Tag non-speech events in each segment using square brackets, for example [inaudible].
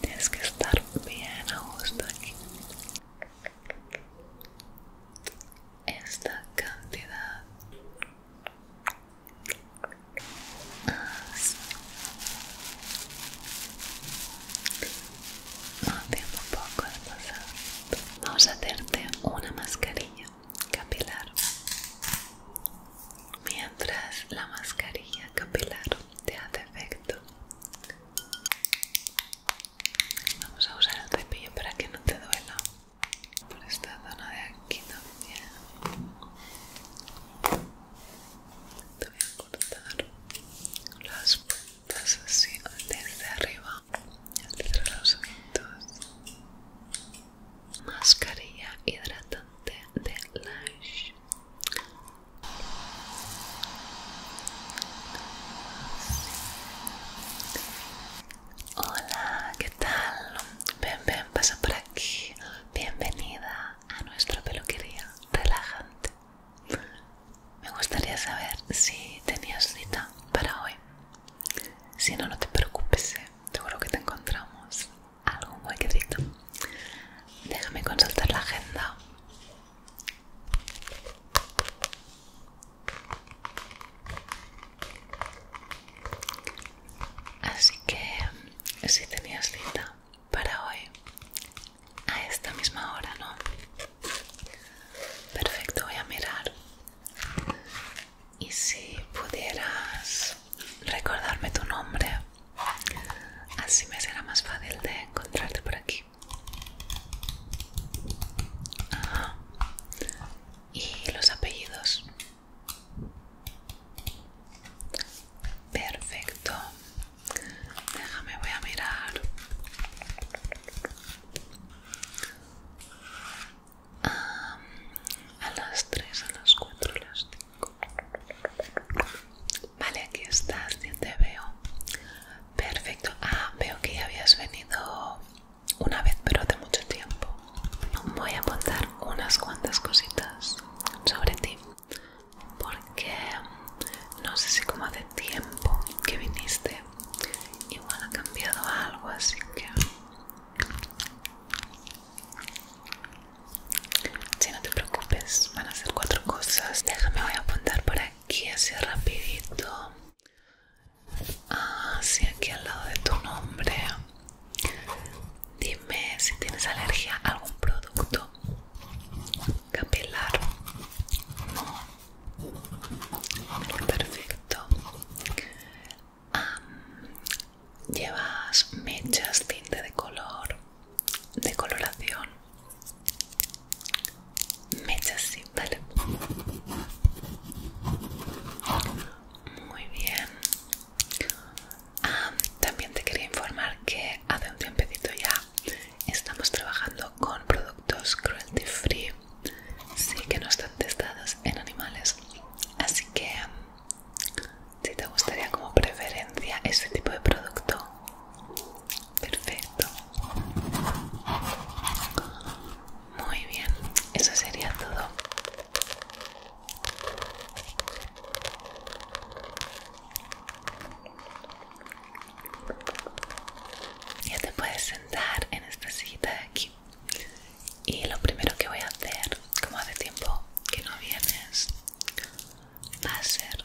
Tienes que estar bien a gusto aquí. Esta cantidad Más. no poco de pasar. Vamos a hacerte una mascarilla capilar. Mientras la mascarilla capilar te hace efecto Vamos a usar el cepillo para que no te duela por esta zona de aquí también. Te voy a cortar las puntas así desde arriba, entre los ojitos. Mascarilla hidratante de Lash. Hola, ¿qué tal? Ven, ven, pasa por aquí. Bienvenida a nuestra peluquería relajante. Me gustaría saber si tenías cita para hoy. Si no, no te preocupes, ¿eh? seguro que te encontramos algún huequecito. Déjame consultar la agenda. Así que si tenías cita para hoy a esta misma hora, ¿no? Perfecto, voy a mirar. Y si pudieras recordarme tu nombre Así me será más fácil de encontrarte por aquí. Y los apellidos. Perfecto. Déjame, voy a mirar. a las 3, a las 4, las Vale, aquí estás, ya te veo. Perfecto. Ah, veo que ya habías venido una vez, pero hace mucho tiempo. Voy a contar unas cuantas cositas sobre ti. Porque no sé si como hace tiempo que viniste, igual ha cambiado algo, así que... Si no te preocupes, van a ser cuatro cosas. Déjame, voy a apuntar por aquí así rapidito. Así ah, aquí al lado de tu nombre. Dime si tienes alergia a algún producto capilar. No. Perfecto. Llevas mechas, tinte de color de coloración mechas simple. Muy bien. Ah, también te quería informar que hace un tiempecito ya estamos trabajando con productos cruelty free, sí que no están testados en animales. Así que si te gustaría como preferencia este tipo de producto, perfecto muy bien eso sería todo ya te puedes sentar en esta silla de aquí y lo primero que voy a hacer como hace tiempo que no vienes va a ser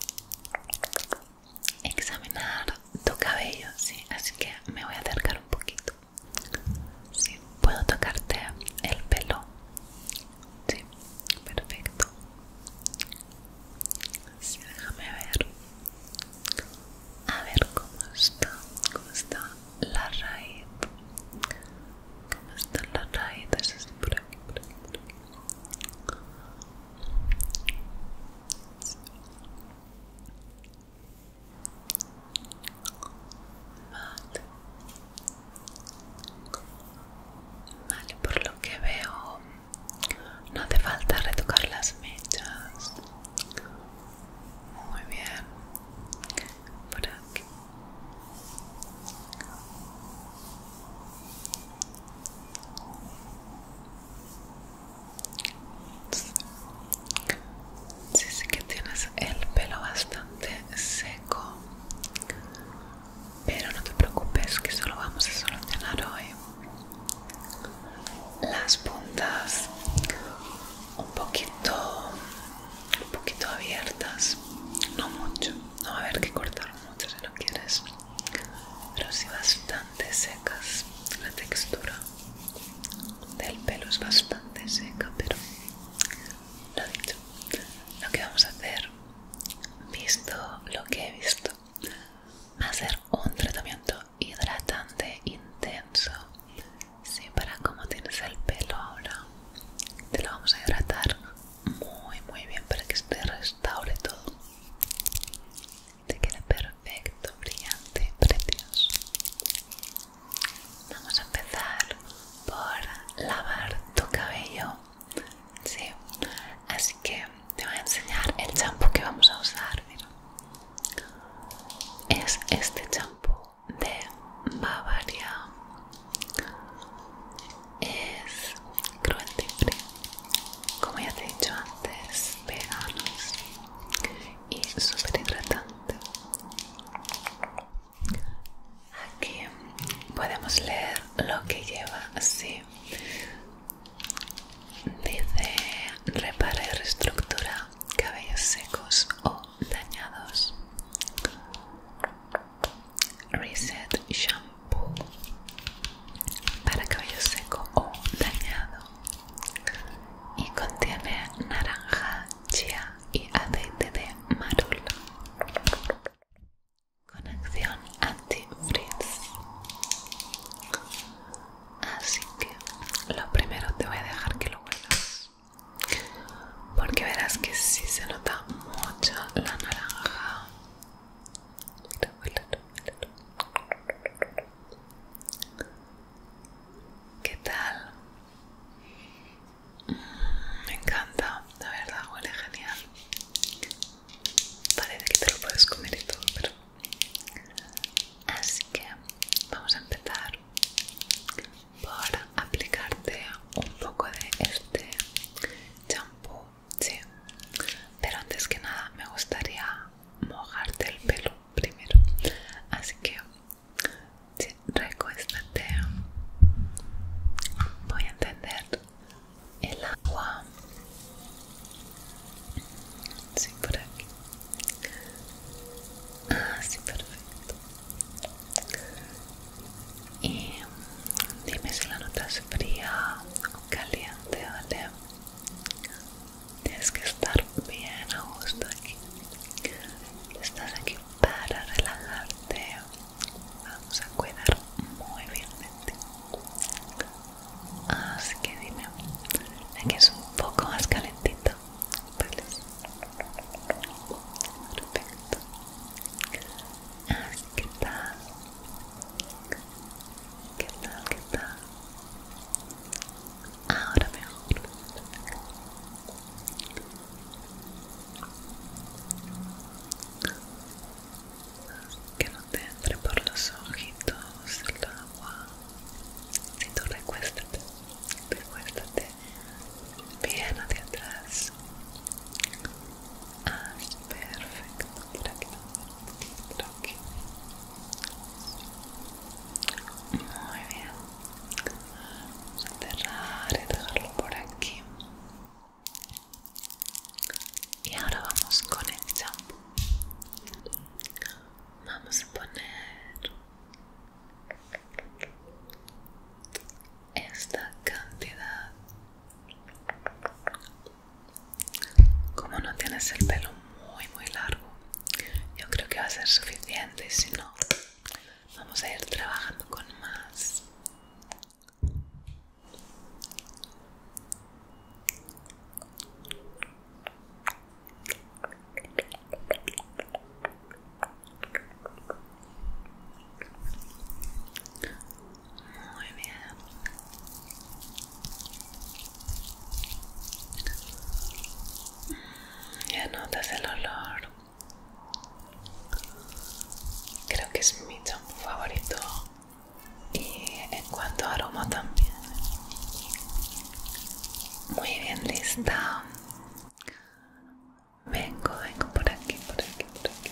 examinar tu cabello, sí, así que me voy a acercar un poquito. Sí, puedo tocarte el pelo. Sí, perfecto. déjame ver. A ver cómo está, cómo está la raíz. ¿Cómo está la raíz? por Vale, por lo que veo, no te falta retocar las mechas. Muy bien. Por Sí, sé que tienes el pelo bastante seco, pero no te preocupes que solo vamos a solucionar hoy las puntas un poquito, un poquito abiertas, no mucho, no va a haber que cortar mucho si lo quieres pero sí bastante secas. La textura del pelo es bastante seca, pero lo dicho, lo que vamos a hacer, visto lo que he visto, hacer a un tratamiento hidratante intenso. Sí, para como tienes el pelo ahora, te lo vamos a hidratar muy muy bien para que se te restaure todo te queda perfecto brillante precioso vamos a empezar por lavar tu cabello sí así que te voy a enseñar el champú que vamos a usar es este champú de Bavaria es cruelty como ya te he dicho antes veganos y súper hidratante aquí podemos leer lo que lleva así dice repara y reestructura cabellos secos o dañados reset shampoo para cabello seco o dañado y contiene naranja, chía y aceite de marula con acción anti-frizz así que lo primero te voy a dejar que lo huelas porque verás que si se nota mucho la naranja ¿Qué tal? Mm, me encanta, la verdad, huele genial. Parece que te lo puedes comer y todo, pero... Así que vamos a empezar por aplicarte un poco de este champú sí. Pero antes que nada me gustaría mojarte el pelo primero. Así que recuéstate. Voy a entender el agua. Sí, por aquí. Ah, sí, perfecto. Y dime si la nota es fría o caliente, ¿vale? Tienes que estar bien a gusto aquí. Estás aquí para relajarte. Vamos a cuidar muy bien Así que dime, aquí es un poco más calentito. Perfecto. Así que ¿Qué tal? ¿Qué tal? Ahora mejor. Que no te entre por los ojitos el agua. Si tú recuéstate, recuéstate bien hacia atrás. Ah, perfecto. aquí. Muy bien. Vamos a cerrar y dejarlo por aquí. Y ahora vamos con el shampoo. Vamos a poner esta cantidad como no tienes el pelo muy muy largo, yo creo que va a ser suficiente. y Si no, vamos a ir trabajando con más. Muy bien. Mm, ya notas el olor. Creo que es mi champú favorito. Y en cuanto a aroma también. Muy bien, lista. Vengo, vengo por aquí, por aquí, por aquí.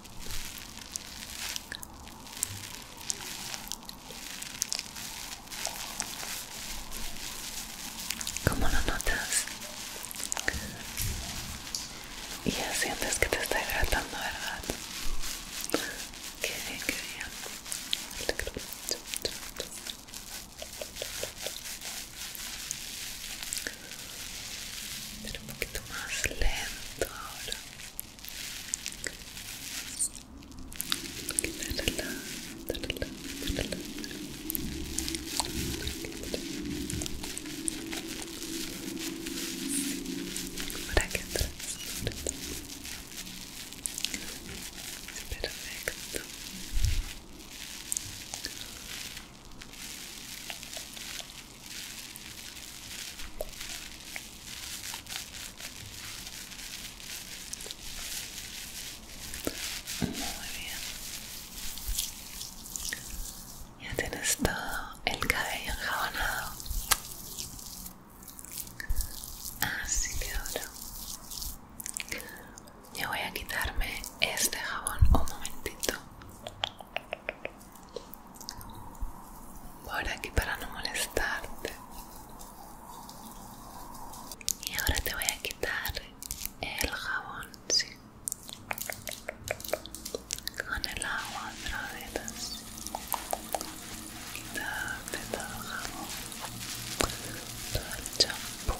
¿Cómo lo notas? Y ya sientes que te está hidratando, ¿verdad? Qué bien, qué bien. Pero un poquito más lento ahora. Un poquito relajado, relajado, relajado. Para que atrás, sobre todo. Es perfecto. Muy bien. Ya tienes todo el cabello enjabonado. Así que ahora yo voy a quitarme este jabón un momentito por aquí para no molestarte y ahora te voy a quitar el jabón con el agua otra vez quitarte todo el jabón todo el champú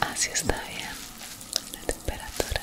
así está bien la temperatura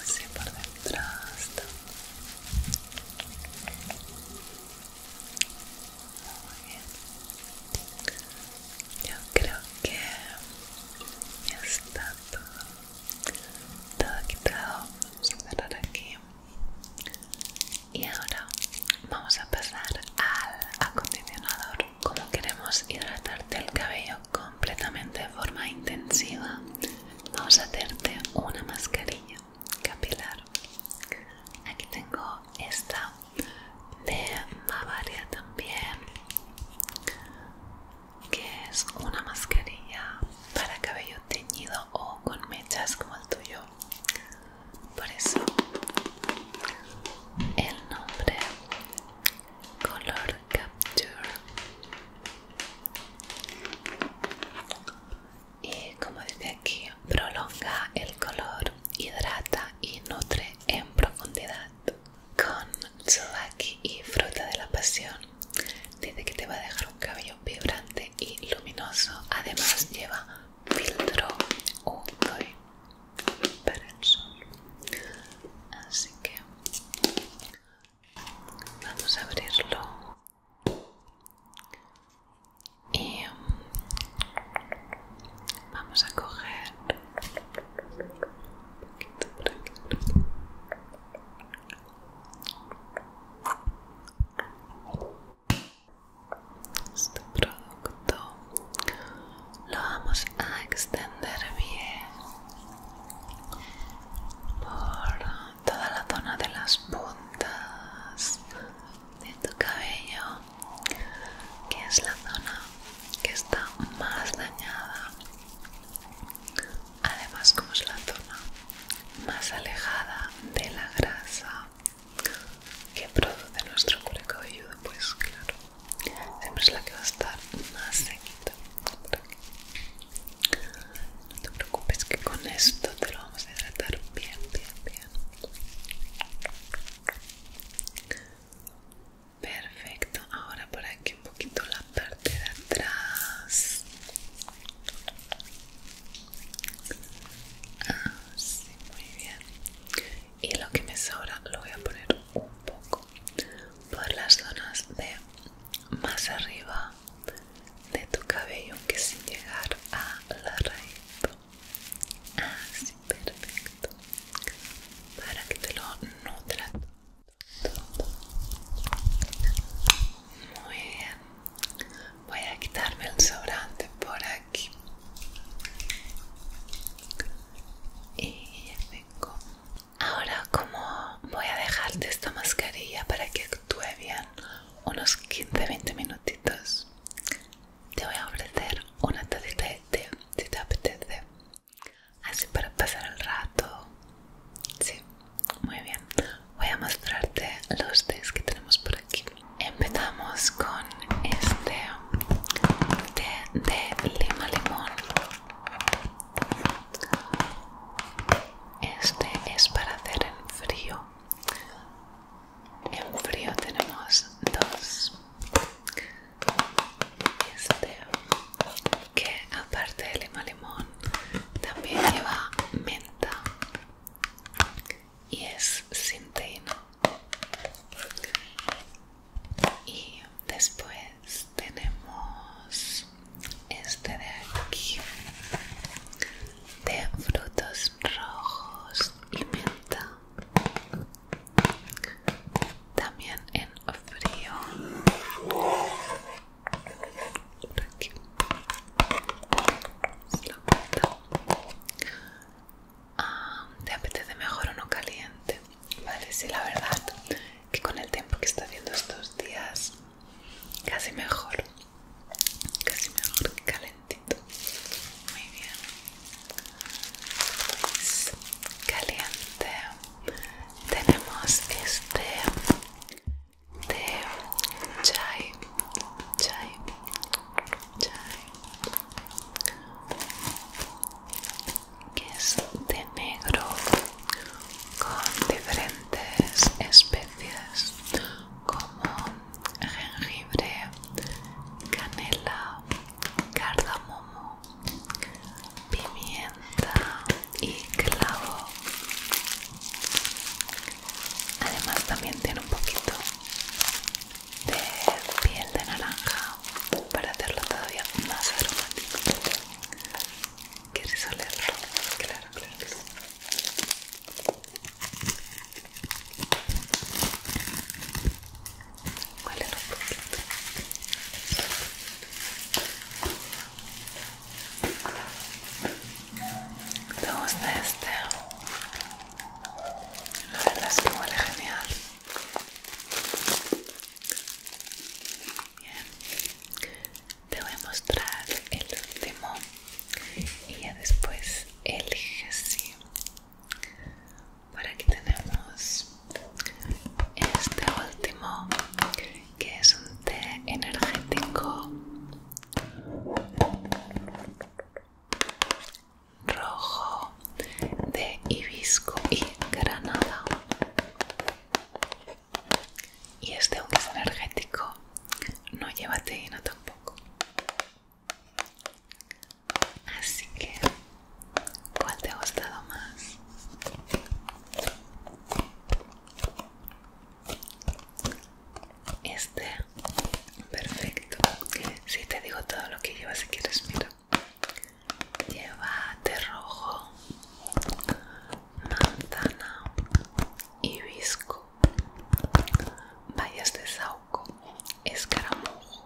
así por detrás muy bien yo creo que ya está todo quitado vamos a cerrar aquí y ahora vamos a pasar al acondicionador como queremos hidratarte el cabello completamente de forma intensiva vamos a hacerte una mascarilla capilar aquí tengo esta de Bavaria también que es una mascarilla para cabello teñido o con mechas como el tuyo por eso el nombre color capture y como dice aquí, prolonga el color, hidrata y nutre en profundidad. Con tsubaki y fruta de la pasión, dice que te va a dejar un cabello vibrante y luminoso. Además lleva filtro UV para el sol. Así que Vamos a abrirlo. Y mm, vamos a coger un poquito Este producto lo vamos a extender bien por toda la zona de las puntas de tu cabello, que es la zona que está más dañada. Además, como es la zona más alejada de la grasa que produce nuestro cuero cabelludo, pues claro, siempre es la que va a estar más sequita. No te preocupes que con esto te lo vamos a hidratar bien, bien, bien. Perfecto, ahora por aquí un poquito la parte de atrás. Así, ah, muy bien. Y lo que me sobra lo voy a poner un poco por las zonas de más arriba de tu cabello que sin llegar a la raíz así ah, perfecto para que te lo nutra muy bien voy a quitarme el sobrante por aquí y ya tengo ahora como voy a dejarte esta mascarilla para que actúe bien unos 15-20 minutitos. Te voy a ofrecer una tacita de té si te apetece. Así para pasar el rato. Sí, muy bien. Voy a mostrarte los tés que tenemos por aquí. Empezamos con este té de lima limón. Este es para hacer en frío. En frío tenemos dos. Este que aparte de lima limón también lleva menta y es sin Y después tenemos este de aquí de frutos rojos y menta también en frío por aquí ah, te apetece mejor uno caliente vale sí la verdad que con el tiempo que está haciendo estos días Casi mejor. Casi mejor que calentito. Muy bien. Pues, caliente. Tenemos este de chai. Chai. Chai. Que es de negro con diferentes especies como jengibre, canela, cardamomo, pimienta y clavo. Además también tiene un poquito de piel de naranja para hacerlo todavía más aromático. ¿Quieres olerlo? Claro, claro que sí. Huele un poquito. ¿Te gusta este? La verdad es que huele genial. Bien te voy a mostrar el último y ya después elige si por aquí tenemos este último que es un té energético rojo de hibisco y granada y este, aunque es energético, no lleva teína tampoco. Así que, ¿cuál te ha gustado más? Este, perfecto. Si te digo todo lo que lleva, si quieres, mira. Lleva rojo, manzana, hibisco, bayas de saúco, escaramujo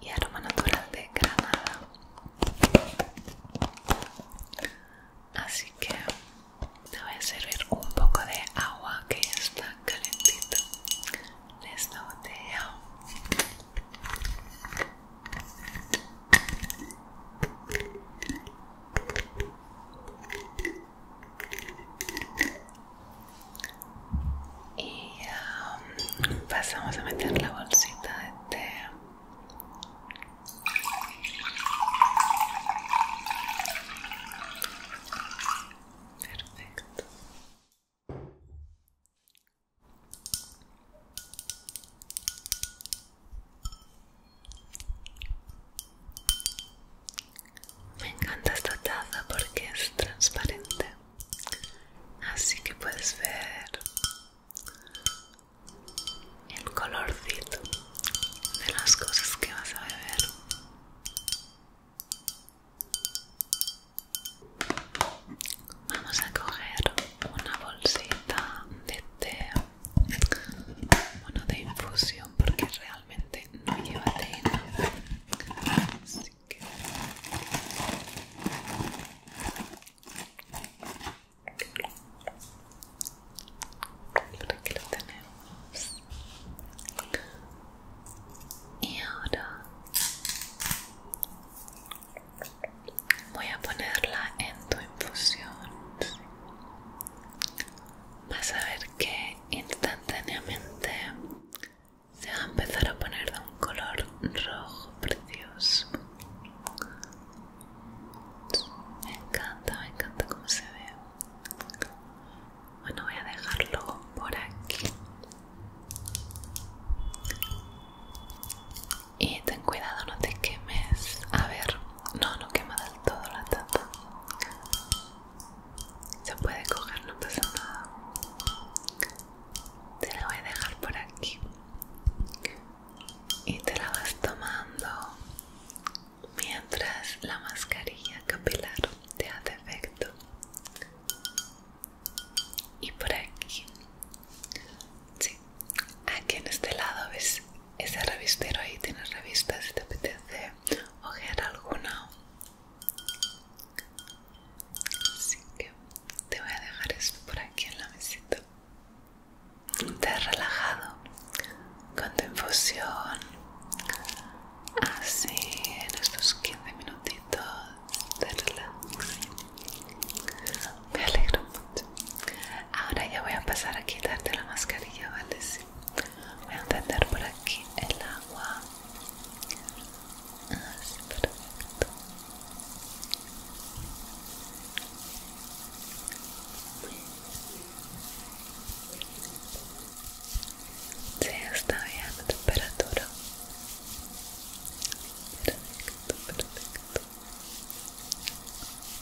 y aroma natural de granada. Así que te voy a servir un poco de agua que está calentita de esta botella y um, pasamos a meter la bolsita de té perfecto me encanta esta taza porque es transparente, así que puedes ver el colorcito de las cosas que vas a beber. Vamos a coger una bolsita de té bueno, de infusión porque realmente no lleva nada. así que lo tenemos y ahora voy a ponerla en tu infusión vas a ver que instantáneamente se va a empezar a poner de un color rojo precioso. Me encanta, me encanta cómo se ve. Bueno, voy a dejarlo por aquí. Y ten cuidado, no te quemes. A ver, no, lo quema del todo la tata se puede coger, no pasa nada. Te la voy a dejar por aquí. Y te la vas tomando mientras la mascarilla capilar te hace efecto. Y por aquí. Sí, aquí en este lado ves ese revistero ahí tiene revistas si te apetece ojear alguna así que te voy a dejar esto por aquí en la mesita te has relajado con tu infusión así en estos 15 minutitos te relajas me alegro mucho ahora ya voy a pasar a quitarte la mascarilla vale voy a encender por aquí el agua así ah, perfecto Sí, está bien la temperatura. Perfecto, perfecto.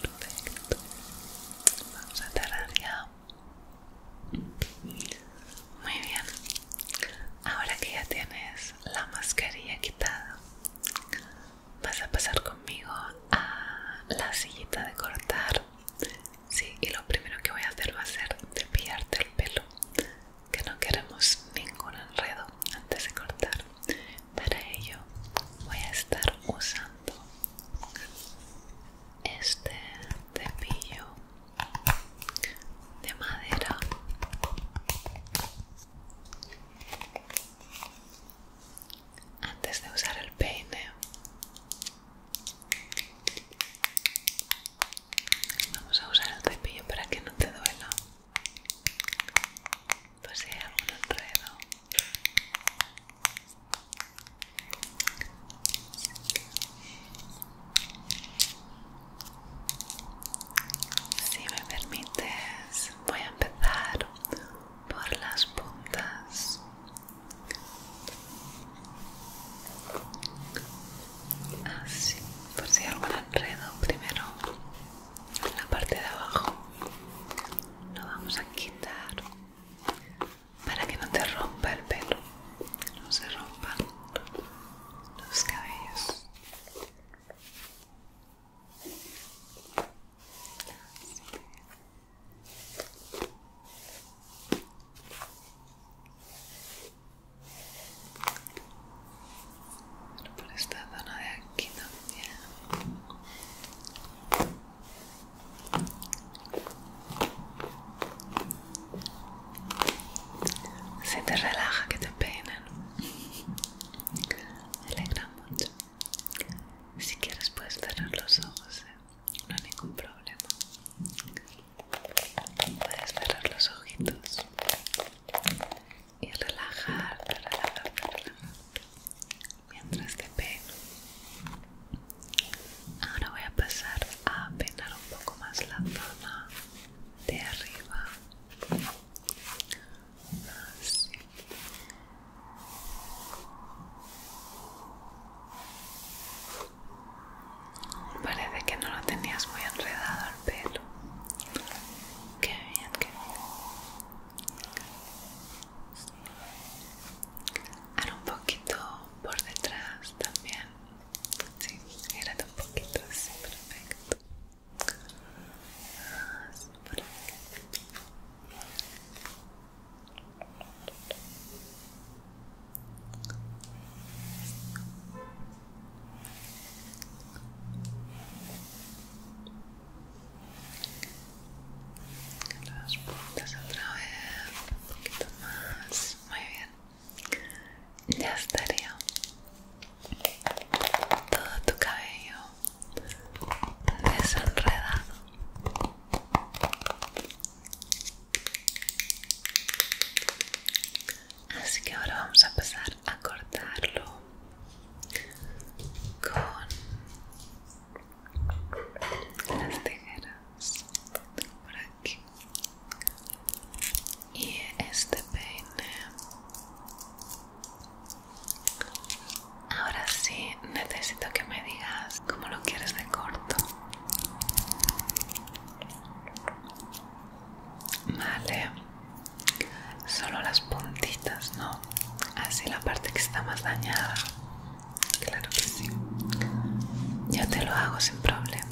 Perfecto. Vamos a Muy bien. Ahora que ya tienes la mascarilla quitada, vas a pasar conmigo a la sillita de cortar. Sí, y lo primero que voy a hacer va a ser cepillarte el pelo que no queremos ningún enredo antes de cortar. Para ello voy a estar usando este cepillo de madera antes de usar el peine vamos a usar el cepillo para que no te duela por pues si hay algún Si me permites, voy a empezar por las puntas. Así, por si hay algún enredo, primero la parte de abajo lo vamos a quitar para que no te rompa el pelo no se rompan los cabellos por esta zona de aquí también. Si te relaja que te peinen. Me alegra mucho. Si quieres puedes cerrar los ojos, ¿eh? no hay ningún problema. Puedes cerrar los ojitos y relajarte, relajarte, relajarte mientras que pego. Ahora voy a pasar a peinar un poco más la zona de arriba. Parece que no lo tenías muy enredado, pero Qué bien, qué bien. Ahora un poquito por detrás también. Sí, gírate un poquito así, perfecto. Ah, por las puntas otra vez un poquito más muy bien ya estaría todo tu cabello desenredado así que ahora vamos a pasar a cortarlo con las tijeras por aquí y este peine ahora sí necesito que me digas cómo lo quieres de corto vale solo las puntitas, ¿no? Así la parte que está más dañada. Claro que sí. Ya te lo hago sin problema.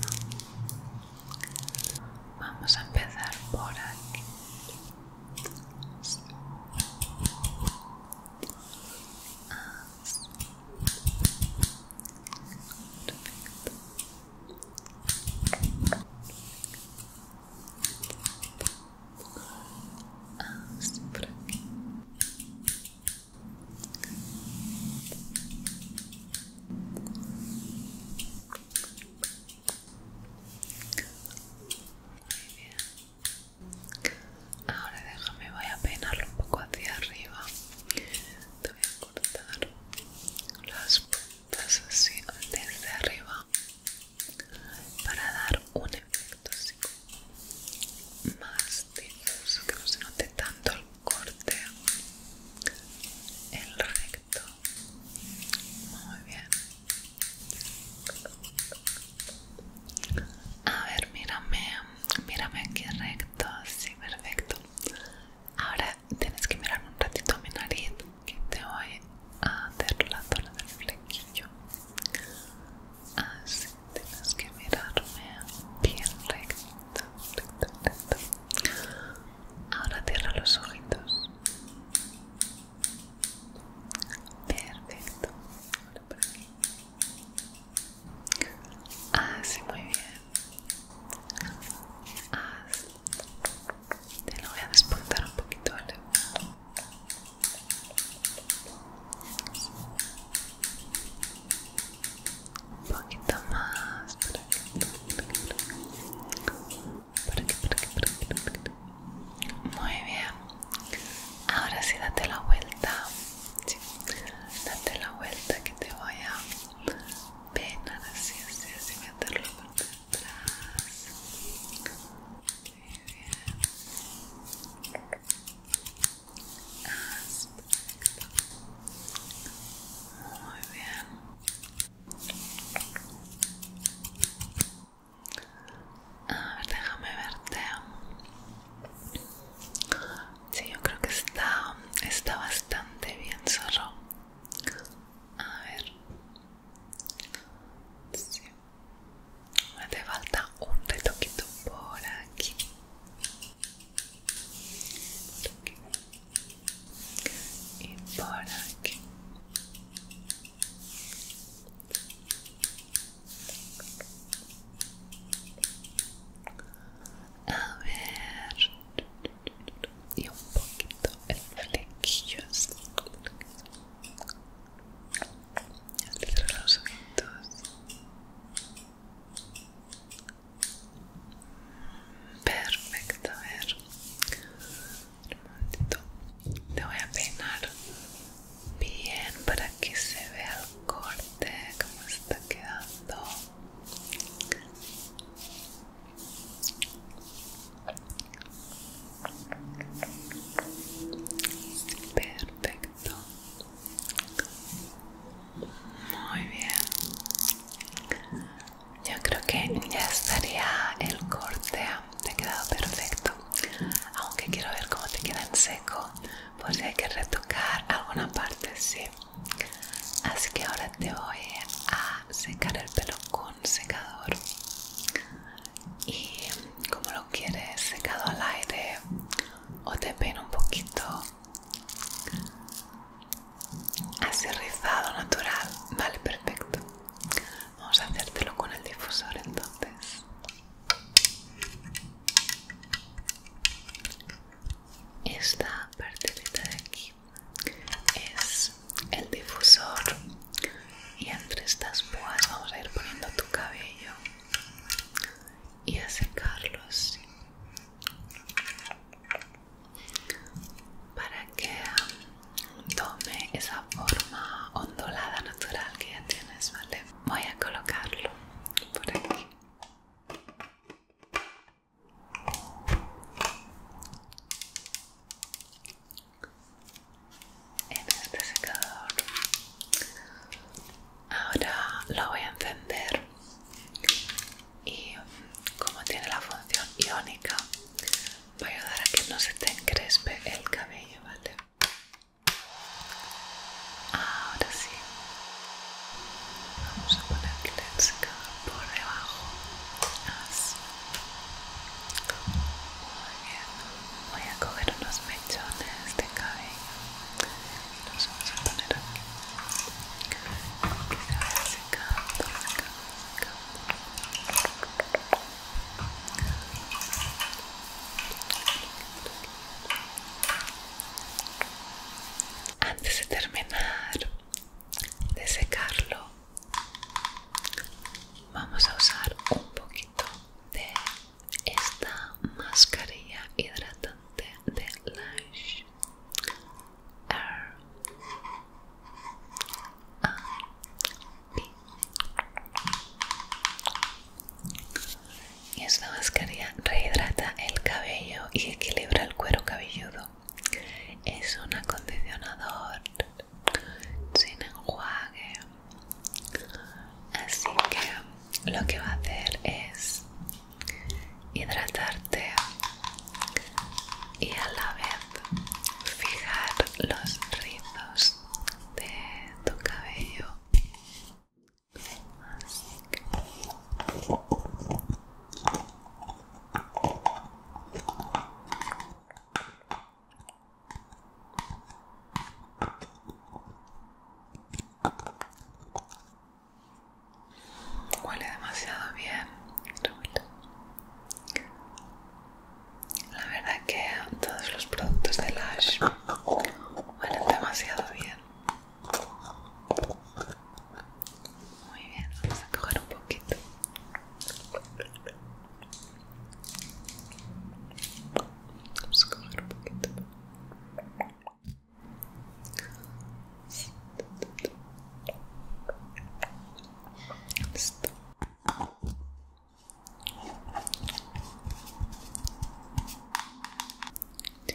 Vamos a empezar por aquí. Perfecto. Ahora déjame, voy a peinarlo un poco hacia arriba. Te voy a cortar las puntas así desde arriba para dar un efecto así más difuso que no se note tanto el corte el recto muy bien a ver mírame mírame aquí recto sí perfecto ahora tienes que mirar un ratito a mi nariz que te voy a hacer la zona del flequillo así tienes que mirarme bien recto, recto, recto ahora cierra los ojitos perfecto ahora así ah, muy bien así te lo voy a despuntar un poquito, ¿vale? Un poquito más por aquí, por aquí, por aquí para que, Muy bien. Ahora sí date la vuelta. Date la vuelta que te voy a peinar así, así, así meterlo por muy bien. A ver, déjame verte. Sí, yo creo que está, está bastante bien, zorro. A ver. Sí. Me falta un retoquito por aquí. Y por aquí. A ver. Y un poquito el flequillo los ojitos. Perfecto, a ver. Te voy a peinar bien para que se vea el corte, como está quedando. Perfecto. Muy bien. Yo creo que ya estaría el corte. Te ha quedado perfecto. Aunque quiero ver cómo te queda en seco. Por si hay que retocar alguna parte, sí. Así que ahora te voy a secar el pelo con secador y como lo quieres secado al aire o te peino un poquito así rizado natural vale perfecto vamos a hacértelo con el difusor entonces esta parte de aquí es el difusor y entre estas púas vamos a ir poniendo tu cabello y a secarlos para que tome esa forma ondulada natural que ya tienes, ¿vale? Voy a colocarlo por aquí en este secador ahora lo voy a encender y mm, como tiene la función iónica va a ayudar a que no se te encrespe el cabello vale ahora sí vamos a poner el secador por debajo voy a coger unos mechones de cabello y los vamos a poner aquí. Que se secando. Antes de terminar de secarlo, Vamos a usar un poquito de esta mascarilla hidratante de Lash R A Esta mascarilla rehidrata el cabello y equilibra el cuero cabelludo. Es un acondicionador sin enjuague así que lo que va a hacer es hidratarte y a la vez fijar los rizos de tu cabello Huele demasiado bien. La verdad que todos los productos de Lush huelen demasiado bien. Muy bien, vamos a coger un poquito. Vamos a coger un poquito.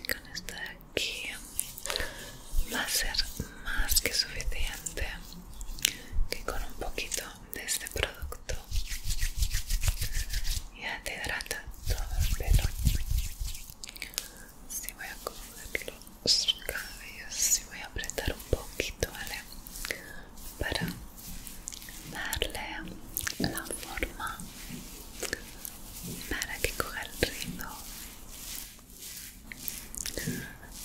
Con esta de aquí va a ser más que suficiente que con un poquito de este producto ya te hidrata todo el pelo si voy a coger los cabellos si voy a apretar un poquito vale para darle la forma para que coja el ritmo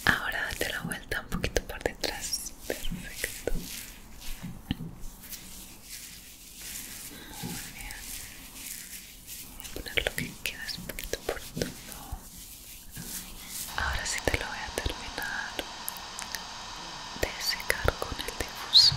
ahora date la vuelta un poquito por detrás perfecto muy bien voy a poner lo que queda un poquito por todo ahora sí te lo voy a terminar de secar con el difusor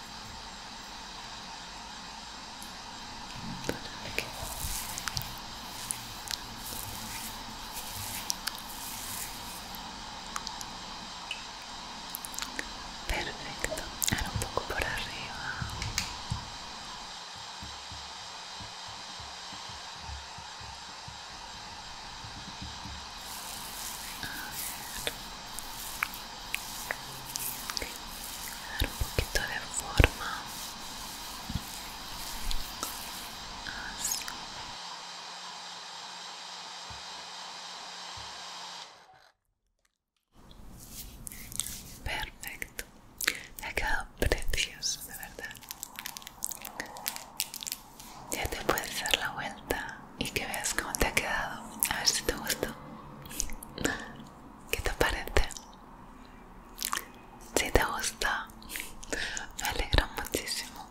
perfecto ahora un poco por arriba dar un poquito de forma perfecto te ha quedado precioso de verdad ya te puedes dar la vuelta y que veas cómo te ha quedado a ver si te gustó ¿Qué te parece? Si te gusta, me alegra muchísimo.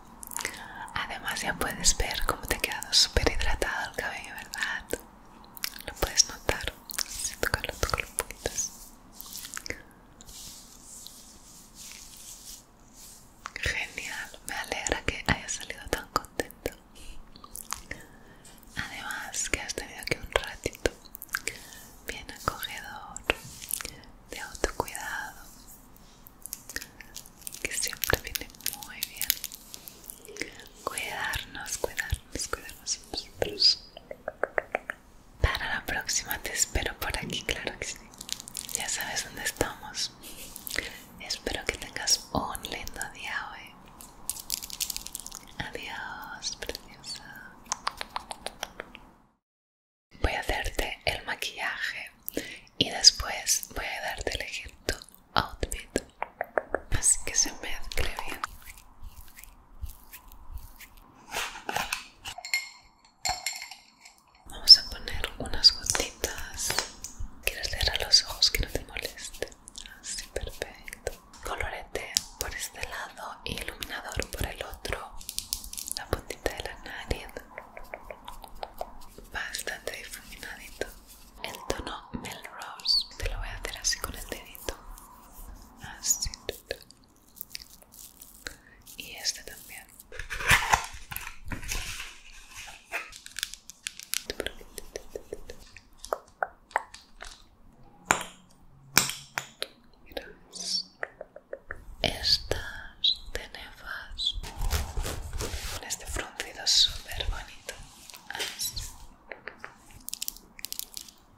Además ya puedes ver cómo te ha quedado súper hidratado el cabello, ¿verdad? Lo puedes notar. Si tocarlo, tocarlo los Genial, me alegra que haya salido tan contento. Además que has tenido aquí un ratito bien acogedor de autocuidado que siempre viene muy bien cuidarnos, cuidarnos, cuidarnos nosotros. Para la próxima te espero por aquí, claro que sí. Ya sabes dónde estamos. Espero que tengas un lindo día hoy. Adiós, preciosa. Voy a hacerte el maquillaje y después voy a darte el ejemplo outfit. Así que se mezcle bien. Vamos a poner unas gotitas. ¿Quieres leer a los ojos que no te moleste? Así, ah, perfecto colorete por este lado y iluminador por el otro la puntita de la nariz bastante difuminadito el tono Melrose te lo voy a hacer así con el dedito así y este también y estas tenefas con este fruncido súper bonito.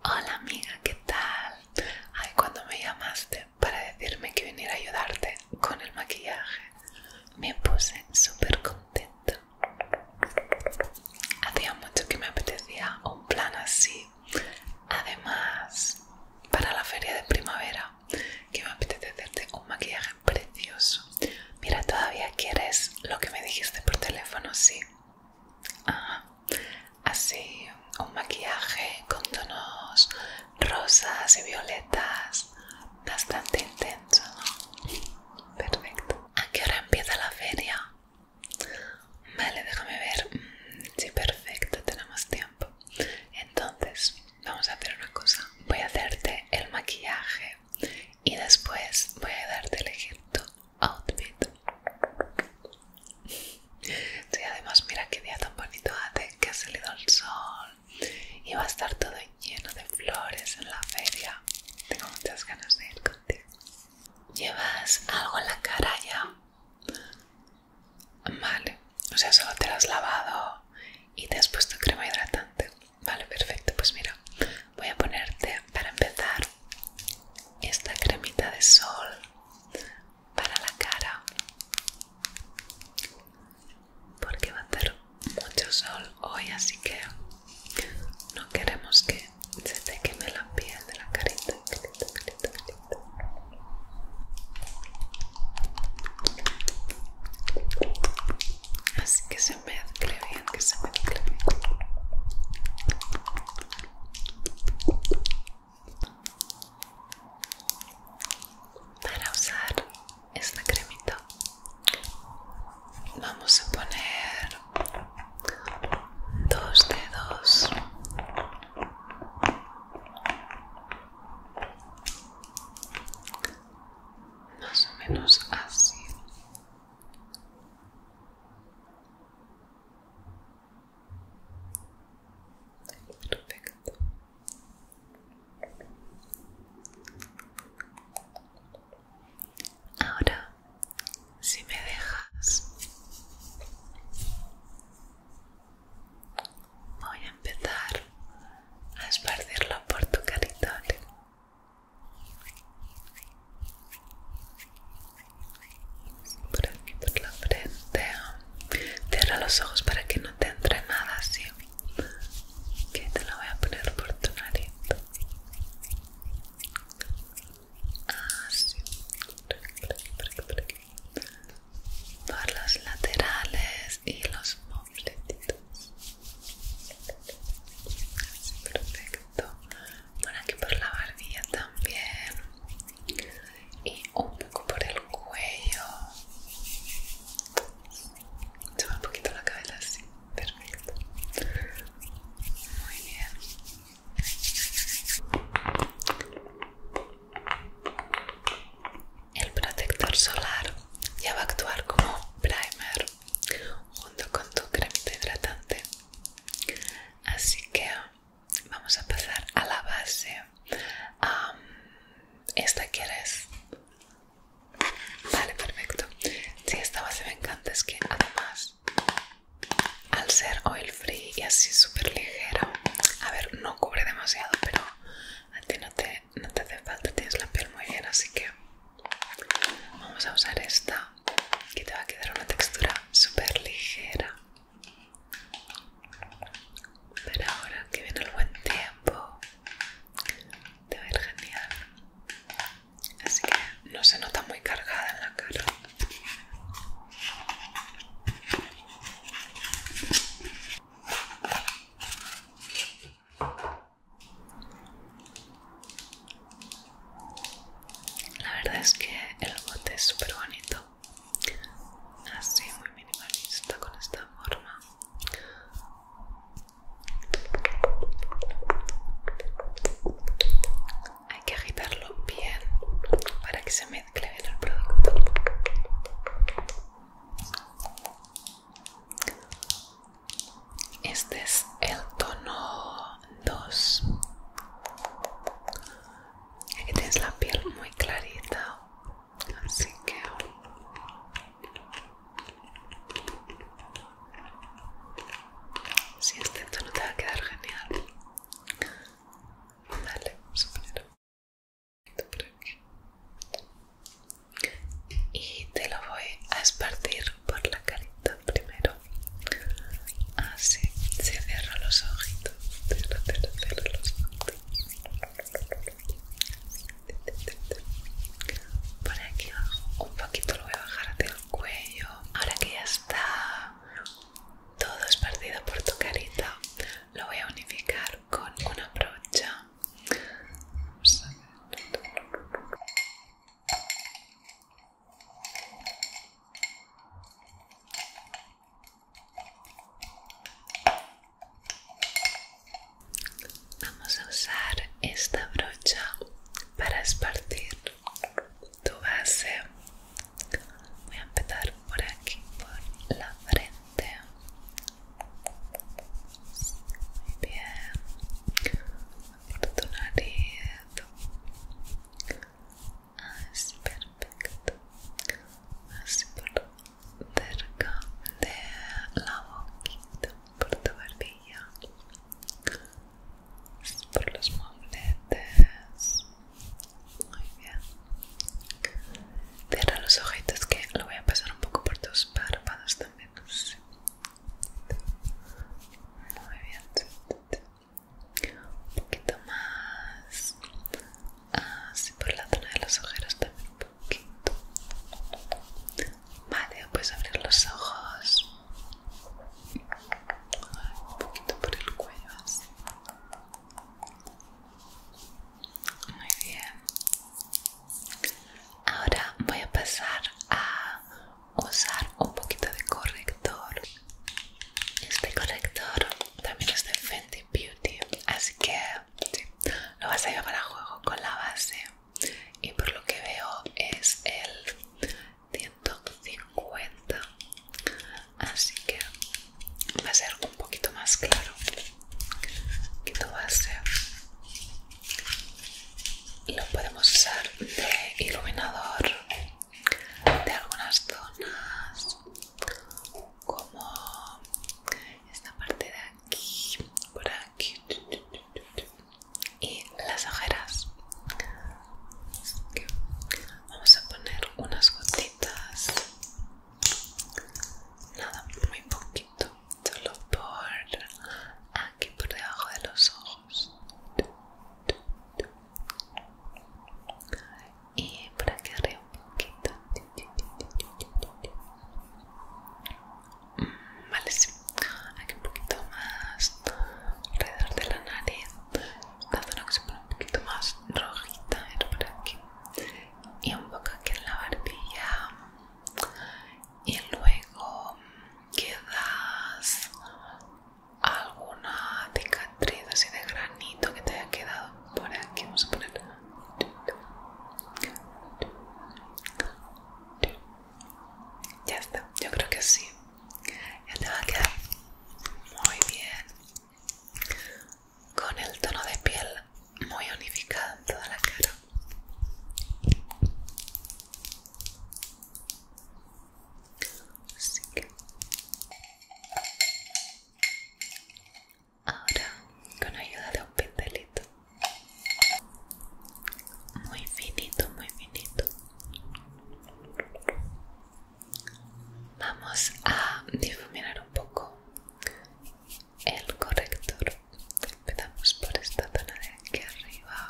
Hola amiga, ¿qué tal? Ay, cuando me llamaste para decirme que viniera a ayudarte con el maquillaje, me puse súper contenta. Hacía mucho que me apetecía un plan así. Además, para la feria de primavera, que me apetece hacerte un maquillaje precioso. Mira, todavía quieres lo que me dijiste por teléfono, sí. Así, un maquillaje con tonos rosas y violetas, bastante intenso, Perfecto. ¿A qué hora empieza la feria? Vale, déjame ver. Mm, sí, perfecto, tenemos tiempo. Entonces, vamos a hacer una cosa. Voy a hacerte el maquillaje y después voy a darte el elegir tu outfit. Sí, además mira qué día tan bonito hace, ¿eh? que ha salido el sol y va a estar todo lleno de flores en la feria. Tengo muchas ganas de ir contigo. ¿Llevas algo en la cara ya? Vale, o sea, solo te lo has lavado y te has puesto crema hidratante. Vale, perfecto. Pues mira, voy a ponerte para empezar esta cremita de sol para la cara. Porque va a hacer mucho sol hoy, así que no queremos que se te queme la piel de la carita. Así que se mezcle bien, que se me mezcle bien. Para usar esta cremita vamos a poner dos dedos más o menos así ahora si me dejas. Voy a empezar a esparcirlo por tu carita. Por aquí, por la frente. Cierra los ojos para que no te entre nada así. Que te lo voy a poner por tu nariz así ah, por los laterales y los mofletitos así perfecto por aquí por la barbilla también y un poco por el cuello sube un poquito la cabeza así perfecto muy bien el protector solar ya va a actuar como primer junto con tu cremita hidratante. Así que vamos a pasar a la base. ¿Esta quieres? Vale, perfecto. Sí, esta base me encanta, es que además al ser oil free y así súper ligero a ver no cubre demasiado pero a ti no te, no te hace falta tienes la piel muy bien así que vamos a usar esta que te va a quedar una textura súper ligera pero ahora que viene el buen tiempo te va a ir genial así que no se nota muy cargada en la cara la verdad es que el bote es súper bonito así muy minimalista con esta forma hay que agitarlo bien para que se mezcle bien el producto este es el tono 2 aquí tienes la piel muy clarita así que si sí, este tono te va a quedar genial. Dale, vamos por Y te lo voy a esparcir por la carita primero. Así, se cierra los ojitos. los Por aquí abajo, un poquito lo voy a bajar hacia el cuello. Ahora que ya está todo partido por tu carita lo voy a unificar con una brocha Vamos a usar esta brocha para esparcir tu base voy a empezar por aquí por la frente muy bien por tu nariz ah, es perfecto así por cerca de la boquita por tu barbilla por los muebles muy bien cierra los ojitos que lo voy a pasar un poco por tus párpados también muy bien un poquito más así ah, por la zona de los ojeros también un poquito vale puedes abrir los ojos un poquito por el cuello así muy bien ahora voy a pasar a usar un poquito de corrector este corrector también es de Fenty Beauty así que lo vas a llevar para juego con la base y por lo que veo es el 150 así que va a ser un poquito más claro que lo podemos usar de iluminador de algunas zonas como esta parte de aquí por aquí y las ojeras Vamos a poner unas gotitas, nada, muy poquito, solo por aquí, por debajo de los ojos y por aquí arriba un poquito. Mm, vale, sí. aquí un poquito más alrededor de la nariz, la zona que se pone un poquito más rojita por aquí y un poco aquí en la barbilla y luego quedas alguna cicatriz así de granito que te haya quedado por aquí vamos a poner ya está, yo creo que sí ya te va a quedar muy bien con el tono de piel muy unificado en toda la cara Así que... ahora con ayuda de un pincelito muy finito muy finito Vamos a difuminar un poco el corrector. Empezamos por esta zona de aquí arriba.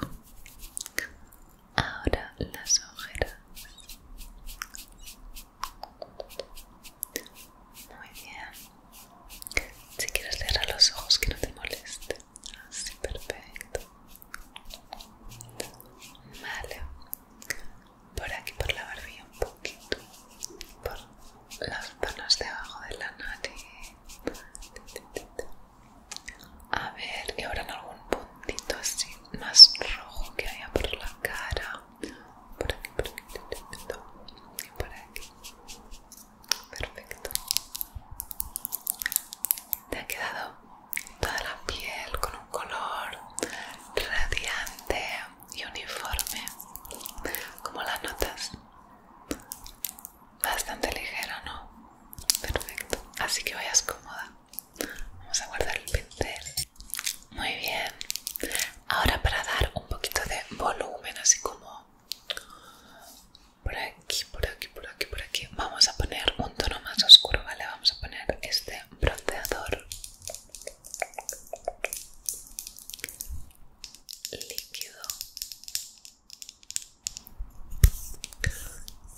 Ahora las ojeras. Muy bien. Si quieres a los ojos que no te moleste. Así, perfecto. Vale. Por aquí, por la barbilla un poquito. Por las zonas de abajo de la nariz. A ver, y ahora en algún puntito así más rojo que haya por la cara. Por aquí, por aquí, por aquí. Perfecto. ¿Te ha quedado toda la piel con un color radiante y uniforme, como las notas. Bastante ligera, ¿no? Perfecto. Así que vayas cómoda. Vamos a guardar el pincel. Muy bien. Ahora para dar un poquito de volumen, así como por aquí, por aquí, por aquí, por aquí, vamos a poner un tono más oscuro, ¿vale? Vamos a poner este bronceador líquido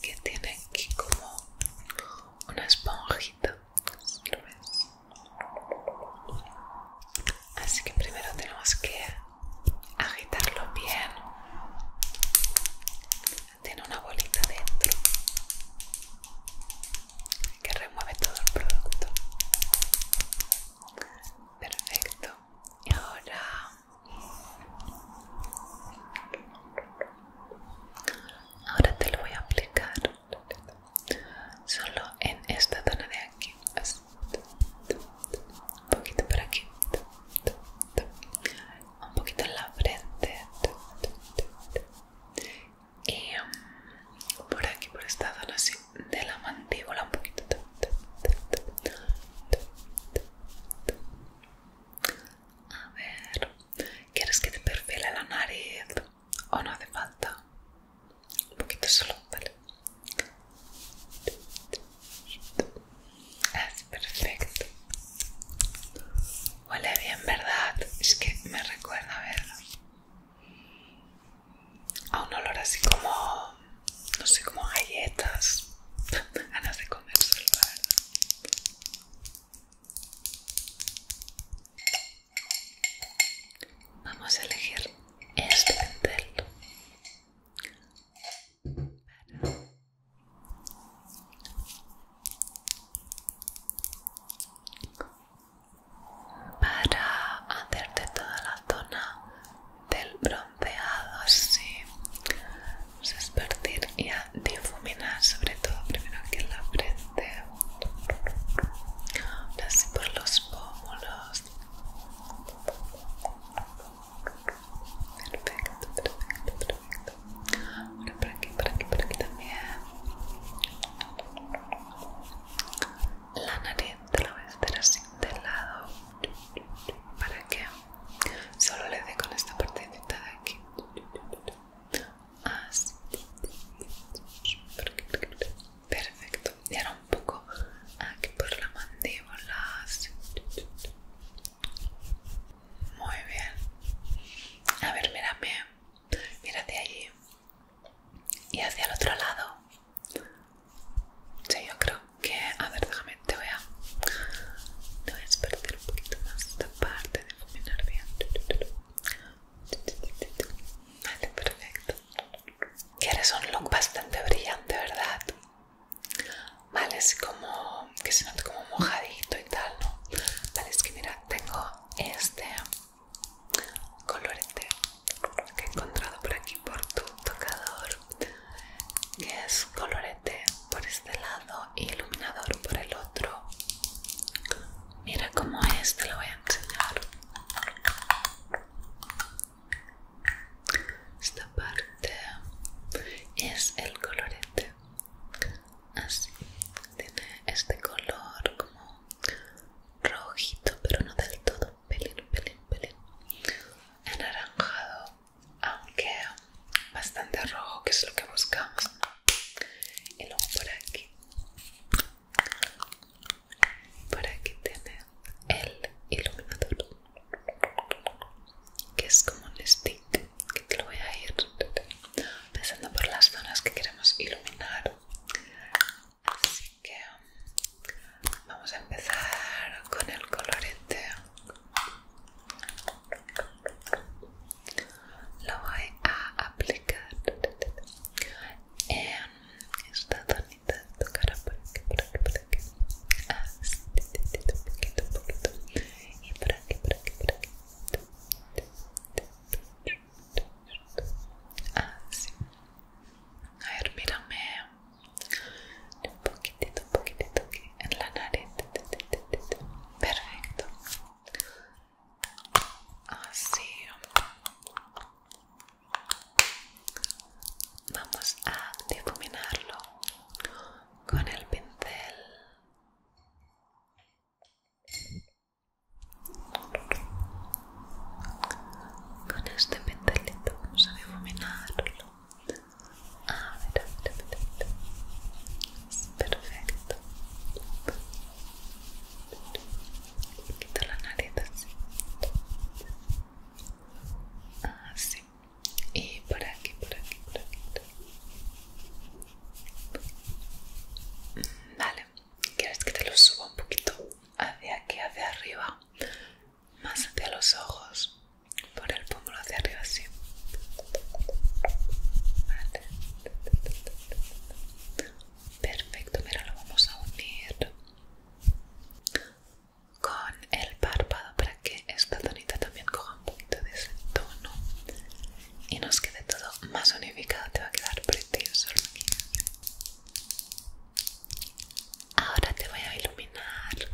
que tiene aquí como una esponjita así que primero tenemos que agitarlo bien tiene una bolita dentro que remueve todo el producto perfecto y ahora ahora te lo voy a aplicar solo en esta zona de aquí un poquito por aquí un poquito en la frente y um, por aquí, por esta zona así de la mandíbula un poquito a ver, ¿quieres que te perfile la nariz o no hace falta? Un poquito solo, ¿vale? Ah, perfecto, Huele bien, ¿verdad? Es que me recuerda, ¿verdad? A un olor así como, no sé, como galletas. [laughs] Ganas de comérselo, la verdad. Vamos a elegir este pentel para hacerte toda la zona del bronceado Vamos a esparcir y a difuminar sobre todo primero aquí en la frente así por los pómulos perfecto perfecto perfecto ahora por aquí, por aquí, por aquí también la nariz te la voy a hacer así de lado para que solo le dé con esta partecita de aquí así perfecto y ahora un poco aquí por la mandíbula así. muy bien a ver mírame mira de allí y hacia el otro lado. Sí, yo creo que. A ver, déjame, te voy a. Te voy a despertar un poquito más esta parte de fuminar bien. Vale, perfecto. Quieres un look bastante brillante, ¿verdad? Vale, es como que se nota como mojadito y tal, ¿no? Vale, es que mira, tengo este colorete que he encontrado por aquí por tu tocador que es colorete por este lado y iluminador por el otro mira cómo es te lo voy a enseñar esta parte es el colorete así tiene este color como rojito pero no del todo pelín pelín pelín anaranjado aunque bastante rojo que es lo que buscamos y luego por aquí por aquí tiene el iluminador que es como un stick que te lo voy a ir empezando por las zonas que queremos iluminar así que vamos a empezar con el colorete lo voy a aplicar en esta zonita de tu cara por aquí, por aquí, por aquí así, poquito, poquito y por aquí, por aquí, por aquí Así. Ah, a ver, mirame un poquitito, un poquitito en la nariz. Perfecto. Así. Ah, Vamos a difuminarlo con el pincel. Con este pincelito vamos a Perfecto. Quito la nariz así. Y por aquí, por aquí. Por aquí. Vale, ¿quieres que te lo suba un poquito hacia aquí, hacia arriba? Más hacia los ojos, por el pómulo hacia arriba, así. Vale. Perfecto, mira, lo vamos a unir con el párpado para que esta tonita también coja un poquito de ese tono y nos quede todo más unificado te va a quedar precioso ahora te voy a iluminar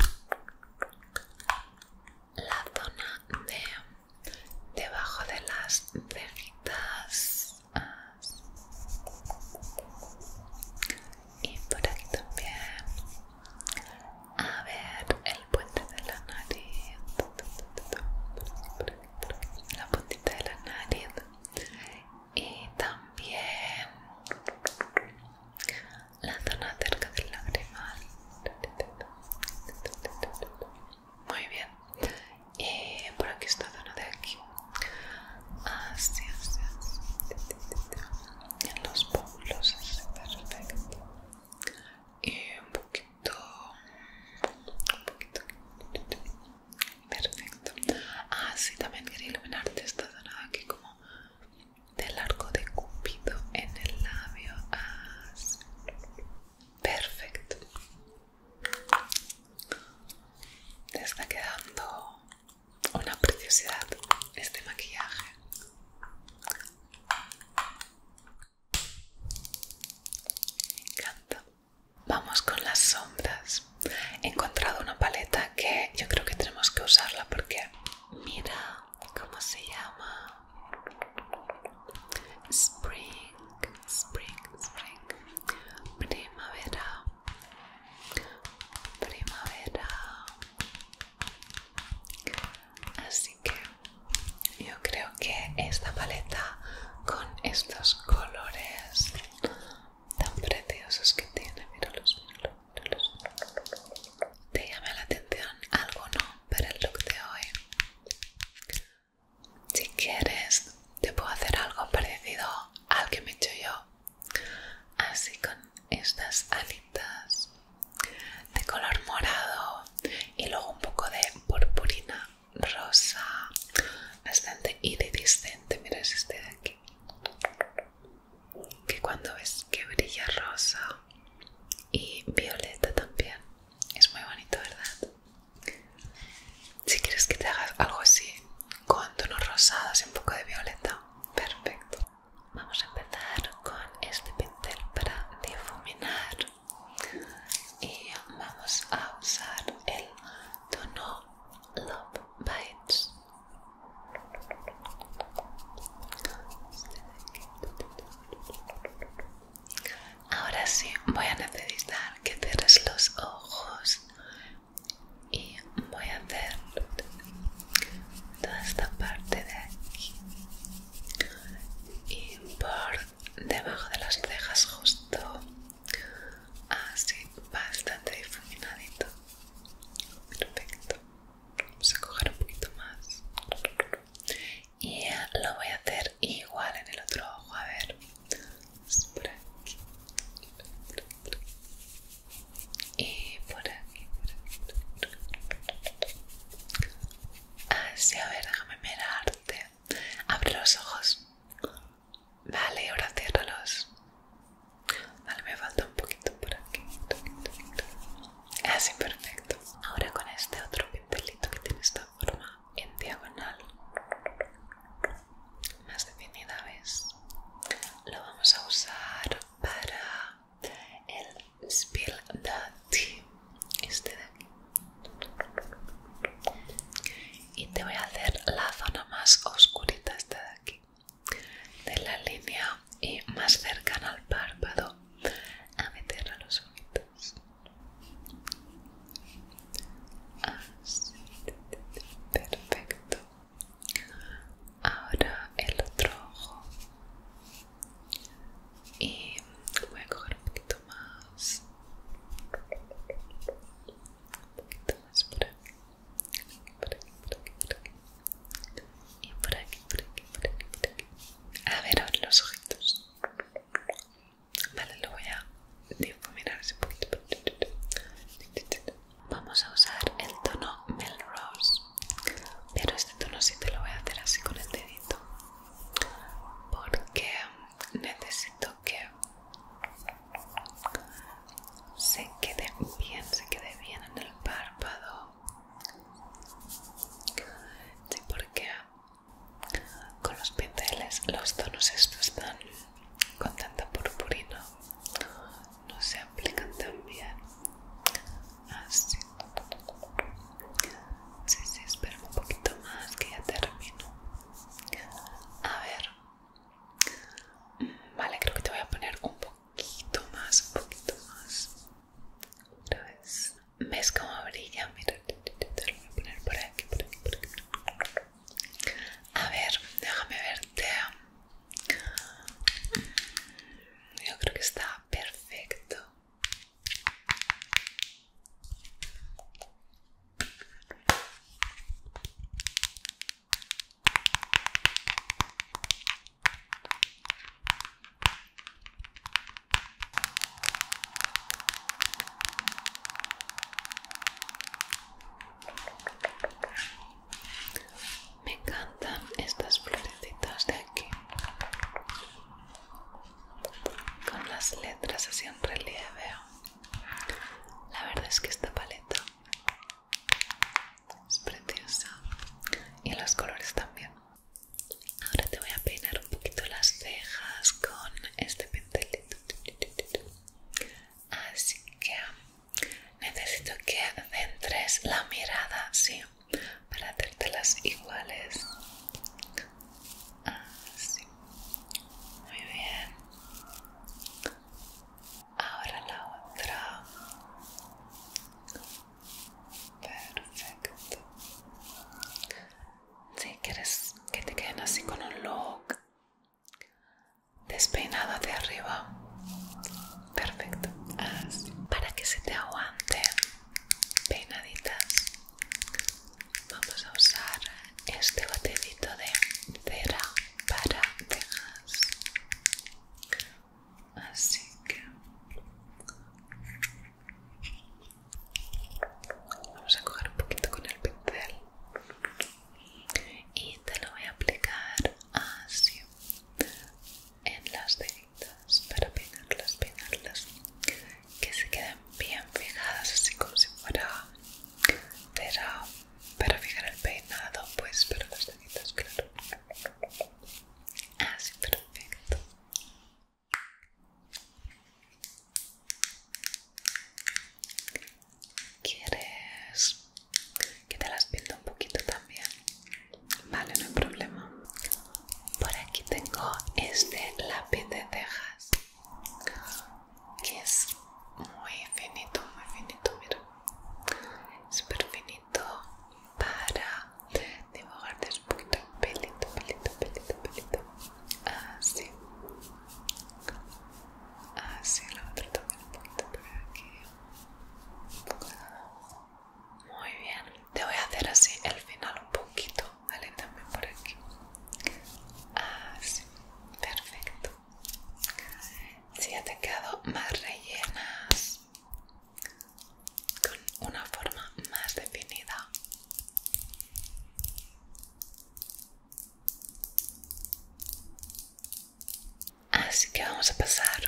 la zona de debajo de las cejitas y por aquí también a ver el puente de la nariz la puntita de la nariz y también la zona cerca del lagrimal muy bien y por aquí esta zona de aquí así así, así. en los pómulos perfecto y un poquito poquito, un poquito, perfecto. Ah, sí, también quería iluminarte esta zona aquí como del arco de cupido en el labio. Ah, perfecto. Te está quedando una preciosidad este maquillaje. Me encanta. Vamos con las sombras. He encontrado una paleta que yo creo que tenemos que usarla porque mira cómo se llama. Spring, spring, spring. Primavera. Primavera. Así Así que yo creo que esta paleta con estos colores tan preciosos que tiene, míralos, míralos. Te llama la atención alguno para el look de hoy. Si quieres, te puedo hacer algo parecido al que me he hecho yo. Así con estas alitas de color morado y luego un poco de purpurina rosa bastante iridiscente mira este de aquí que cuando ves que brilla rosa y violeta también es muy bonito verdad si quieres que te hagas algo así con tonos rosados y un poco de violeta perfecto vamos a empezar con este pincel para difuminar y vamos a usar el tono Love Bites. Ahora sí, voy a necesitar que cierres los ojos y voy a hacer toda esta parte de aquí y por debajo de las cejas justo así bastante difuminadito perfecto vamos a coger un poquito más y lo voy a hacer igual en el otro ojo a ver por aquí y por aquí. Así, a ver, déjame mirarte. Abre los ojos. Vale, ahora ciérralos. Vale, me falta un poquito por aquí. Así, ah, perfecto. Ahora con este otro pintelito que tiene esta forma en diagonal más definida, ¿ves? Lo vamos a usar para el Spill the Tea, este de aquí y te voy a hacer la zona más oscurita esta de aquí de la línea y más cercana al párpado a meter a los ojitos así perfecto ahora el otro ojo y voy a coger un poquito más un poquito más por aquí por aquí, por aquí, por aquí y por aquí, por aquí, por aquí, a ver ahora los ojitos vale, lo voy a difuminar ese poquito vamos a usar el tono Melrose pero este tono sí te lo voy a hacer así con el dedito porque necesito que se quede bien, se quede bien en el párpado. Sí, porque con los pinceles los tonos estos están con tanta purpurina, no se aplican tan bien. Así. Sí, sí, espérame un poquito más que ya termino. A ver. Mm, vale, creo que te voy a poner un poquito más, un poquito más. Otra ¿Ves como brilla? Mira, te lo voy a poner por aquí, por aquí, por aquí. A ver, déjame verte. Mm, yo creo que está perfecto. Me encantan estas florecitas de aquí con las letras así en relieve. La verdad es que esta paleta es preciosa y los colores también. Ahora te voy a peinar un poquito las cejas con este pincelito Así que necesito que centres la mirada, sí, para hacértelas iguales. Así. Muy bien. Ahora la otra. Perfecto. Si quieres que te queden así con un look despeinado de arriba. Perfecto. Para que se te aguante peinaditas. Vamos a usar este batecito de cera para cejas. Así que vamos a coger un poquito con el pincel y te lo voy a aplicar así en las deditas para pegarlas, pegarlas que se queden bien fijadas, así como si fuera pero para fijar el peinado pues pero las claro así ah, perfecto ¿Quieres que te las pinto un poquito también? Vale, no hay problema. Por aquí tengo este lápiz de cejas que es muy finito, muy finito, mira, súper finito para dibujarte un poquito pelito, pelito, pelito, pelito, así, así lo voy a un poquito por aquí, muy bien, te voy a hacer así el final un poquito vale, también por aquí. Así, ah, perfecto. Si ya te quedado más rellenas, con una forma más definida. Así que vamos a pasar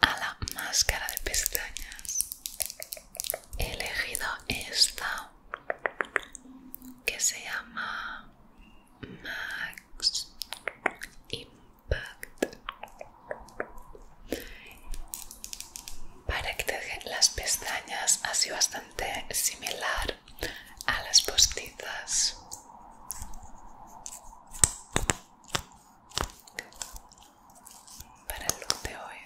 a la máscara de pestañas. He elegido esta que se llama Max Impact para que te deje las pestañas así bastante similar a las postizas para el look de hoy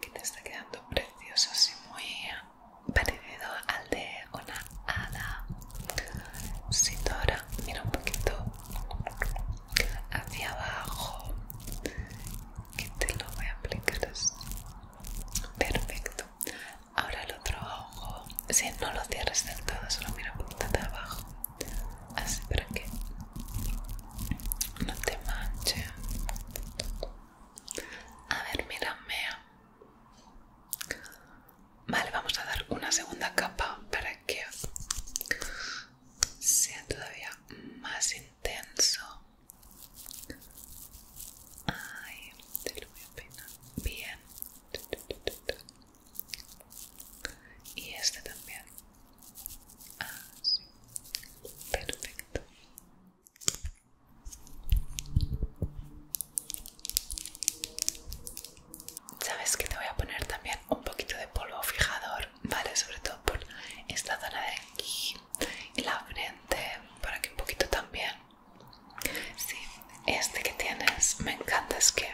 que te está quedando precioso así muy parecido al de una hada ahora, mira un poquito hacia abajo que te lo voy a aplicar así perfecto ahora el otro ojo si no lo cierres del todo solo mira un poquito de abajo así para que no te manche a ver, mea. Vale, vamos a dar una segunda capa para que sea todavía más intenso. Ay, te lo voy a peinar bien. Y este también. Así. Ah, Perfecto. Sabes que te voy a poner también un poquito de polvo fijador, [laughs] ¿vale? Sobre todo por esta zona de aquí y la frente, para que un poquito también. Sí, este que tienes me encanta, es que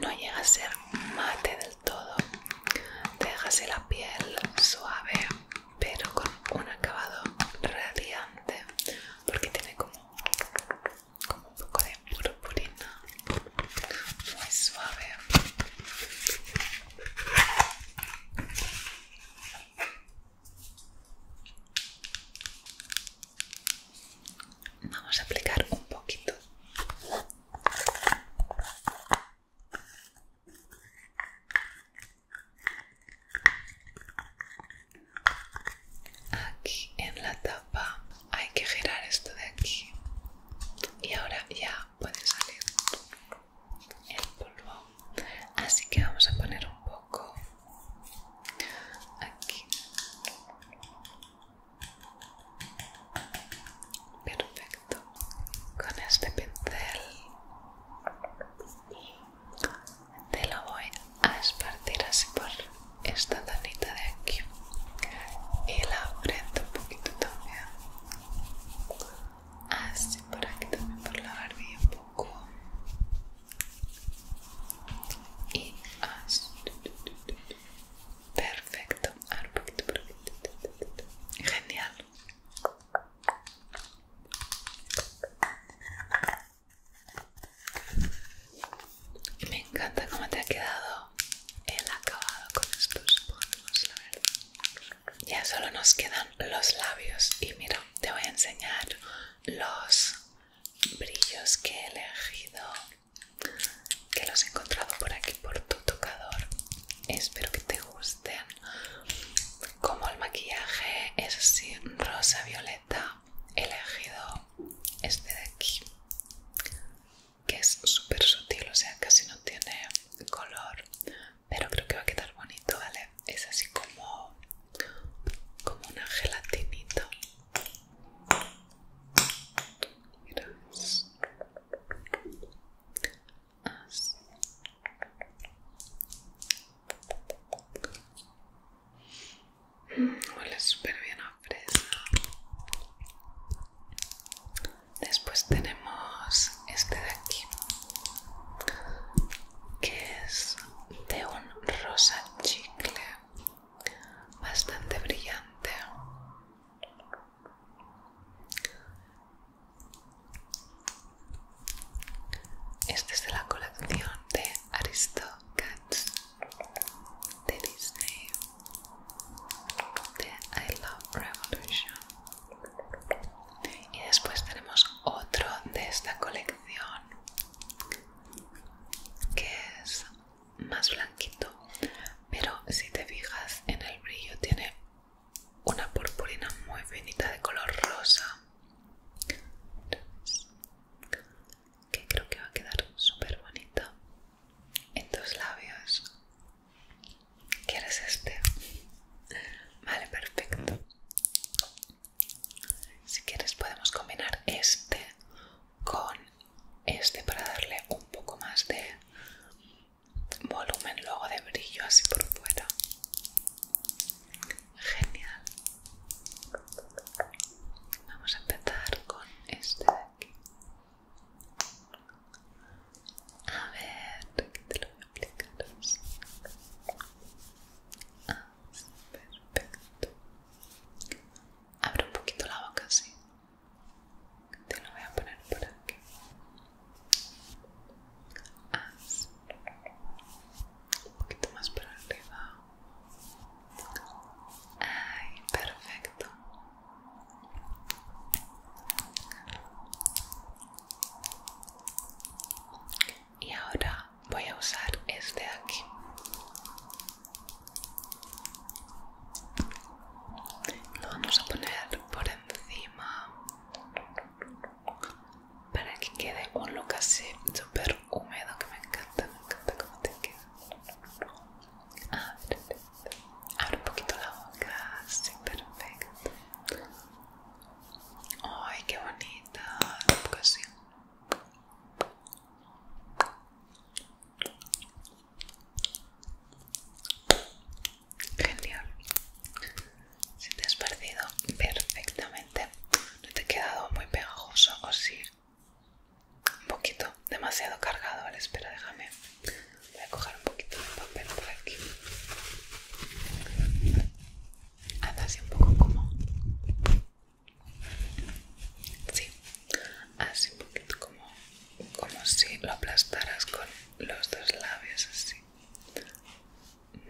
no llega a ser mate del todo, te dejas la piel suave pero con un acabado radiante porque tiene como, un poco de purpurina muy suave Vamos a aplicar un poquito. Aquí en la tapa hay que girar esto de aquí y ahora ya puede salir el polvo. Así que vamos a poner un poco aquí. Perfecto con este pincel te lo voy a esparcir así por esta danita de aquí y la un poquito también así por aquí también por la barbilla un poco y así perfecto genial me encanta cómo te ha quedado el acabado con estos polvos, Ya solo nos quedan los labios y mira, te voy a enseñar los brillos que he elegido, que los he encontrado por aquí por tu tocador espero que te gusten como el maquillaje es así rosa violeta he elegido este de aquí que es súper sutil o sea casi no tiene color pero creo que va a quedar bonito vale es así como como una gelatinita Mira, Huele súper bien a fresa. Después tenemos este de aquí, que es de un rosa chicle bastante brillante. Este es de la colección de Aristocats de Disney de I Love Revolution. Y después tenemos otro de esta colección que es más blanquito, pero si te fijas en el brillo tiene una purpurina muy finita de color rosa que creo que va a quedar súper bonito en tus labios ¿Quieres este? Vale, perfecto. Si quieres podemos combinar este con este para darle un poco más de volumen luego de brillo así por fuera genial vamos a empezar con este de aquí a ver te lo voy a aplicar así. Ah, así, perfecto abre un poquito la boca así te lo voy a poner por aquí un poquito más para arriba. Ay, perfecto. Y ahora voy a usar este aquí. Lo vamos a poner por encima para que quede un look así súper húmedo que me encanta, me encanta como te queda. Abre, abre un poquito la boca, así, perfecto. Ay, qué bonita, un poco así. Genial. Si te has perdido perfectamente, no te ha quedado muy pegajoso o sí. Un poquito, demasiado cargado, espera, déjame. Voy a coger un poquito de papel por aquí. Anda así un poco como... Sí, así un poquito como, como si lo aplastaras con los dos labios así.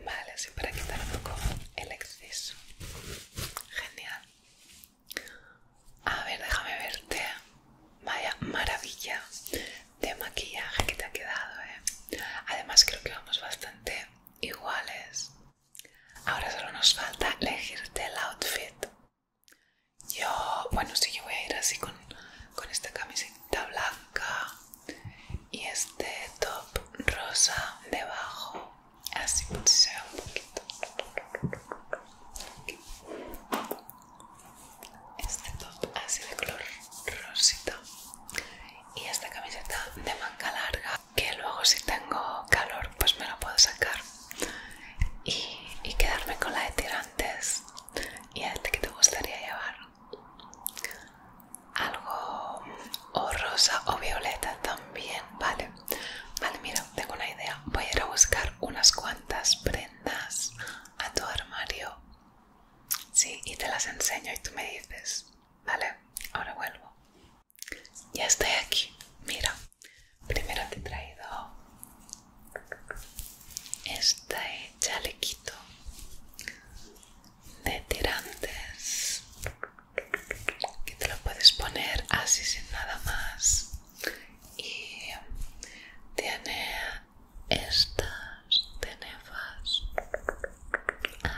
Vale, así para quitar un poco el exceso. Genial. A ver, déjame verte. Vaya maravilla de maquillaje que te ha quedado, ¿eh? Además creo que vamos bastante iguales. Ahora solo nos falta elegirte el outfit. Yo, bueno, sí, yo voy a ir así con, con esta camiseta blanca y este top rosa debajo así se ve un poquito este top así de color rosita y esta camiseta de manga larga que luego si tengo calor pues me la puedo sacar y, quedarme con la de tirantes y este que te gustaría llevar algo o rosa o violeta también vale vale mira tengo una idea voy a ir a buscar unas cuantas prendas a tu armario sí y te las enseño y tú me dices vale ahora vuelvo ya estoy aquí mira primero te he traído este chalequito de tirantes que te lo puedes poner así sin nada más y tiene estas tenefas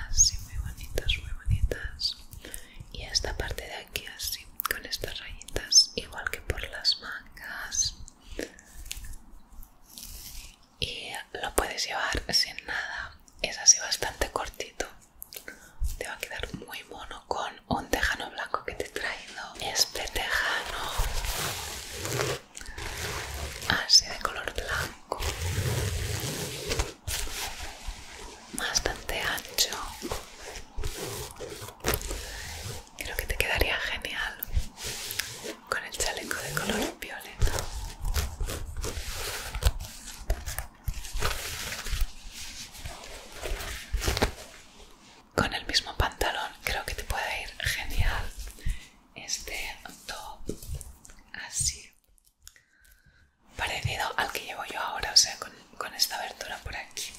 así muy bonitas muy bonitas y esta parte de aquí así con estas rayitas igual que por las mangas y lo puedes llevar sin nada es así bastante cortito te va a quedar muy mono con un tejano blanco que te he traído este tejano así de color blanco bastante ancho creo que te quedaría genial con el chaleco de color violeta. Con el mismo pantalón creo que te puede ir genial este top así parecido al que llevo yo ahora, o sea, con, esta abertura por aquí,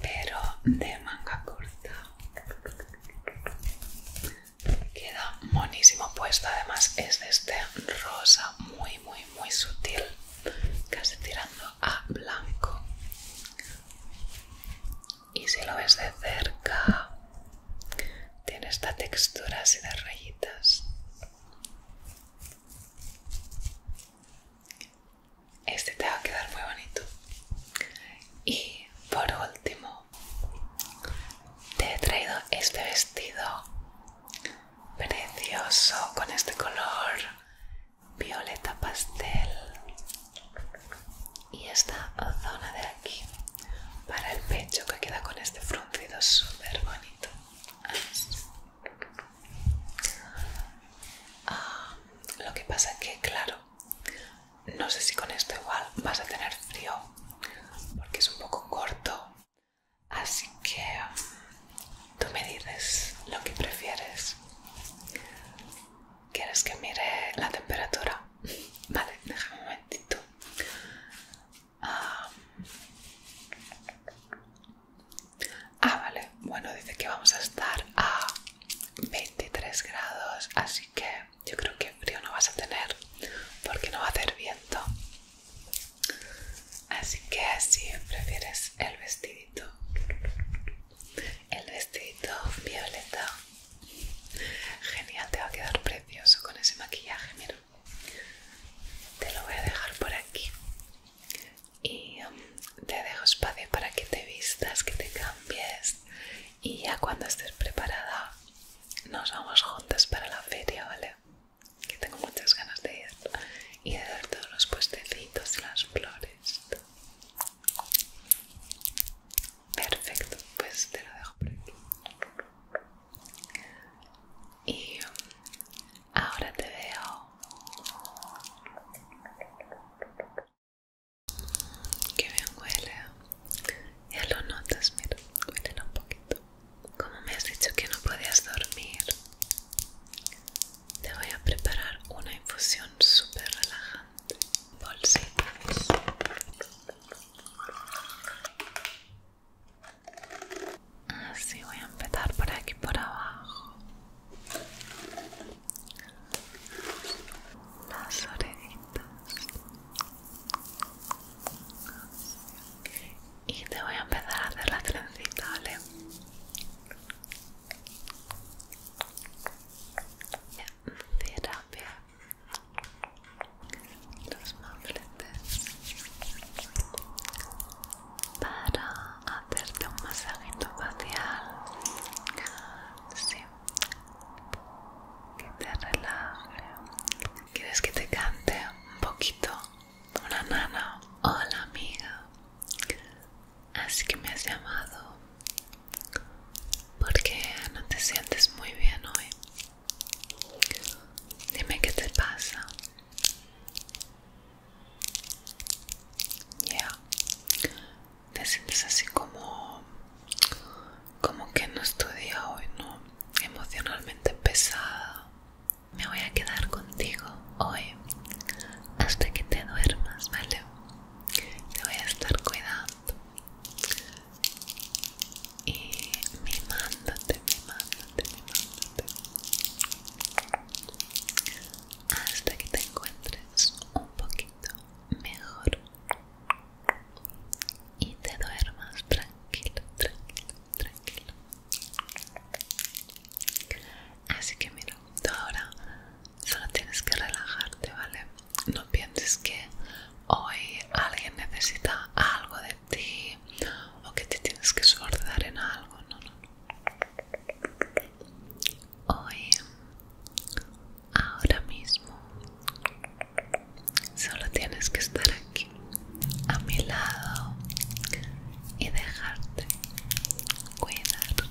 pero de manga corta. Queda monísimo puesto, además es de este rosa muy, muy, muy sutil, casi tirando a blanco. Y si lo ves de cerca, tiene esta textura así de rayitas. Este te va a quedar muy bonito. Y por último, te he traído este vestido precioso con este color violeta pastel y esta zona de aquí para el pecho que queda con este fruncido súper bonito ah, lo que pasa que claro no sé si con esto igual vas a tener frío porque es un poco corto. Así que tú me dices lo que prefieres. ¿Quieres que mire la temperatura? [laughs] Vale, déjame un momentito. Ah. ah, vale. Bueno, dice que vamos a estar a 23 grados, así que yo creo que frío no vas a tener porque no va a hacer viento. Así que si prefieres el vestidito, el vestidito violeta, genial, te va a quedar precioso con ese maquillaje, mira. Te lo voy a dejar por aquí y um, te dejo espacio para que te vistas, que te cambies y ya cuando estés preparada nos vamos juntas para la feria, ¿vale? Que tengo muchas ganas de ir y de ver todos los puestecitos y las flores. Perfecto, pues te lo dejo por aquí. Y um, ahora te veo. Que bien huele. Ya lo notas, mira, un poquito. Como me has dicho que no podías dormir, te voy a preparar una infusión súper relajante. Bolsitas. Así voy a empezar por aquí, por abajo. Las orejitas y te voy a empezar a hacer la trencita, ¿vale? Terapia los mofletes para hacerte un masajito facial sí. que te relaje, ¿Quieres que te cante un poquito? Una nana. Hola amiga. Así que me has llamado. Porque no te sientes muy bien hoy. Dime qué te pasa. Ya. Te sientes así como como que no estoy hoy, ¿no? Emocionalmente pesada. Me voy a quedar contigo hoy hasta que te duermas, ¿vale? Te voy a estar cuidando. Y mimándote, mimándote, mimándote. Hasta que te encuentres un poquito mejor y te duermas tranquilo, tranquilo, tranquilo. Así que mira, tú ahora solo tienes que relajarte, ¿vale? No pienses que hoy alguien necesita algo de ti o que te tienes que esforzar en algo, no, no. Hoy, ahora mismo, Solo tienes que estar aquí, a mi lado, y dejarte cuidar.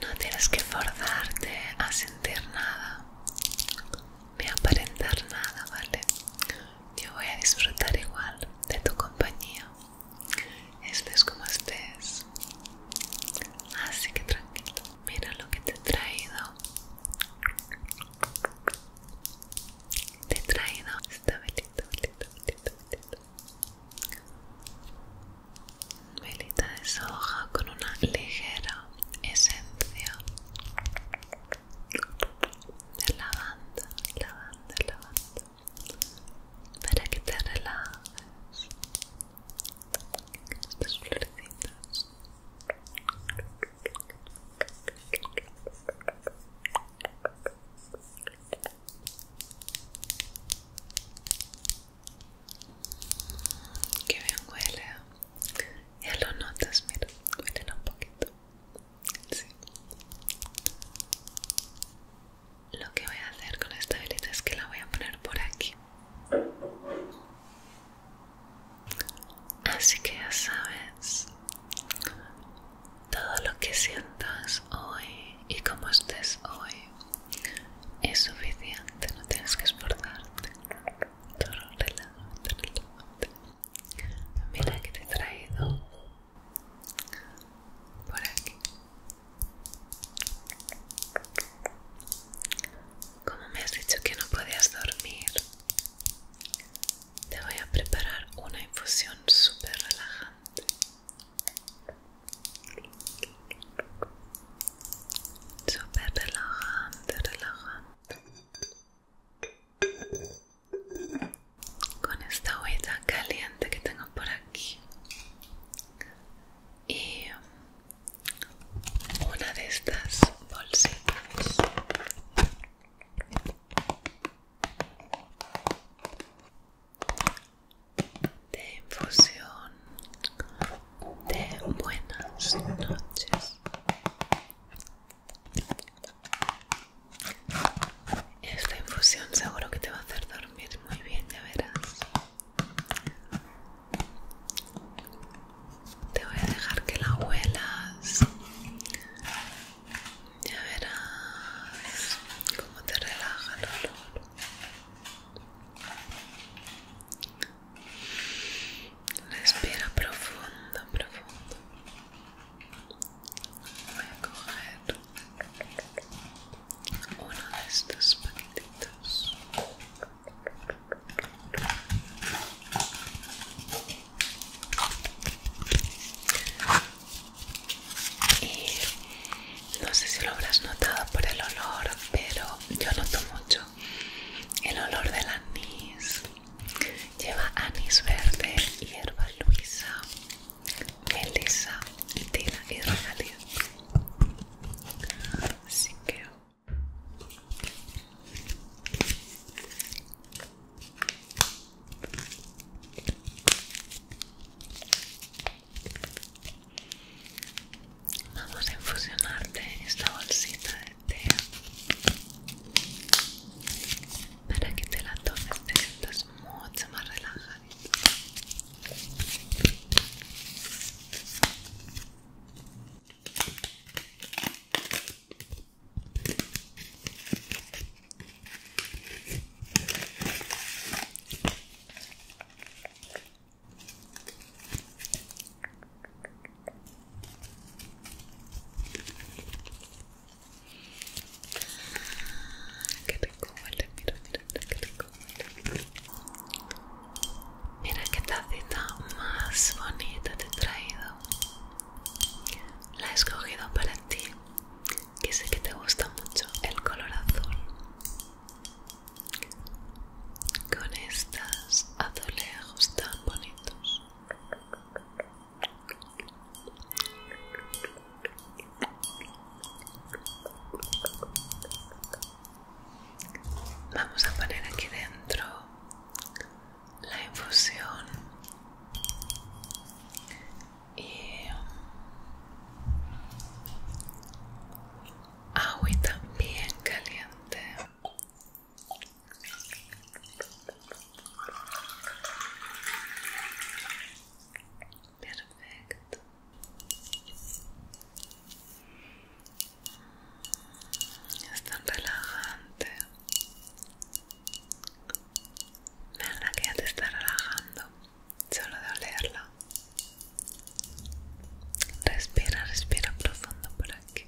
No tienes que forzarte a sentir nada, ni aparentar nada, ¿vale? Yo voy a disfrutar igual de tu compañía. Estés como estés. Así que tranquilo. Mira lo que te he traído. Te he traído esta velita, velita, de soja con una ligera esencia de lavanda, lavanda, lavanda. Para que te relajes. Estas florecitas. Que bien huele. Ya lo notas, mira, huele un poquito. Sí. Lo que voy a hacer con esta velita es que la voy a poner por aquí. Así que ya sabes, todo lo que sientas hoy y como estés hoy es suficiente, no tienes que esforzarte. Todo del Mira que te he traído por aquí. Como me has dicho que no podías dormir, te voy a preparar una infusión súper relajante. Súper relajante, relajante. Con esta olla caliente que tengo por aquí. Y una de estas bolsitas de infusión de buenas noches esta infusión seguro que te va a hacer dormir muy bien ya verás te voy a dejar que la huelas ya verás cómo te relaja el olor respira profundo profundo voy a coger uno de estos paquetitos y no sé si lo habrás notado por el olor, pero yo noto mucho el olor del anís. Lleva anís verde, hierba luisa, melisa, tila y Así que Vamos a infusionarte esta bolsita de té para que te la tomes, te sientas mucho más relajada que rico huele, mira, mira, mira, que rico huele. Mira qué tacita más bonita te he traído. La he escogido para ti, que sé que te gusta mucho el color azul. Con estas azulejos tan bonitos. Vamos a poner aquí dentro la infusión y um, agüita bien caliente perfecto es tan relajante Nada, que ya te está relajando solo de olerla. Respira, respira profundo por aquí.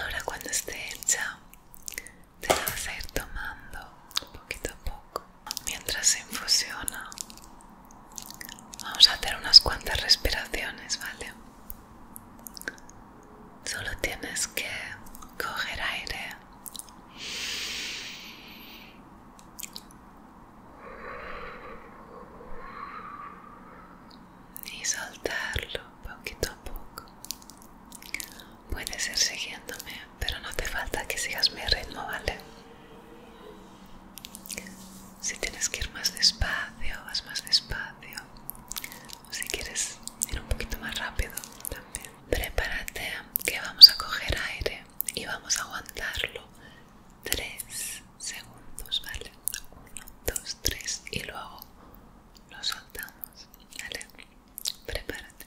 Ahora cuando esté hecha, te vas a ir tomando poquito a poco mientras se infusiona vamos a hacer unas cuantas respiraciones vale solo tienes que coger aire y soltarlo poquito a poco Puedes ir siguiéndome, pero no te falta que sigas mi ritmo, ¿vale? Si tienes que ir más despacio, vas más despacio. O si quieres ir un poquito más rápido, también. Prepárate, que vamos a coger aire y vamos a aguantarlo tres segundos, ¿vale? Uno, dos, tres, y luego lo soltamos, ¿vale? Prepárate.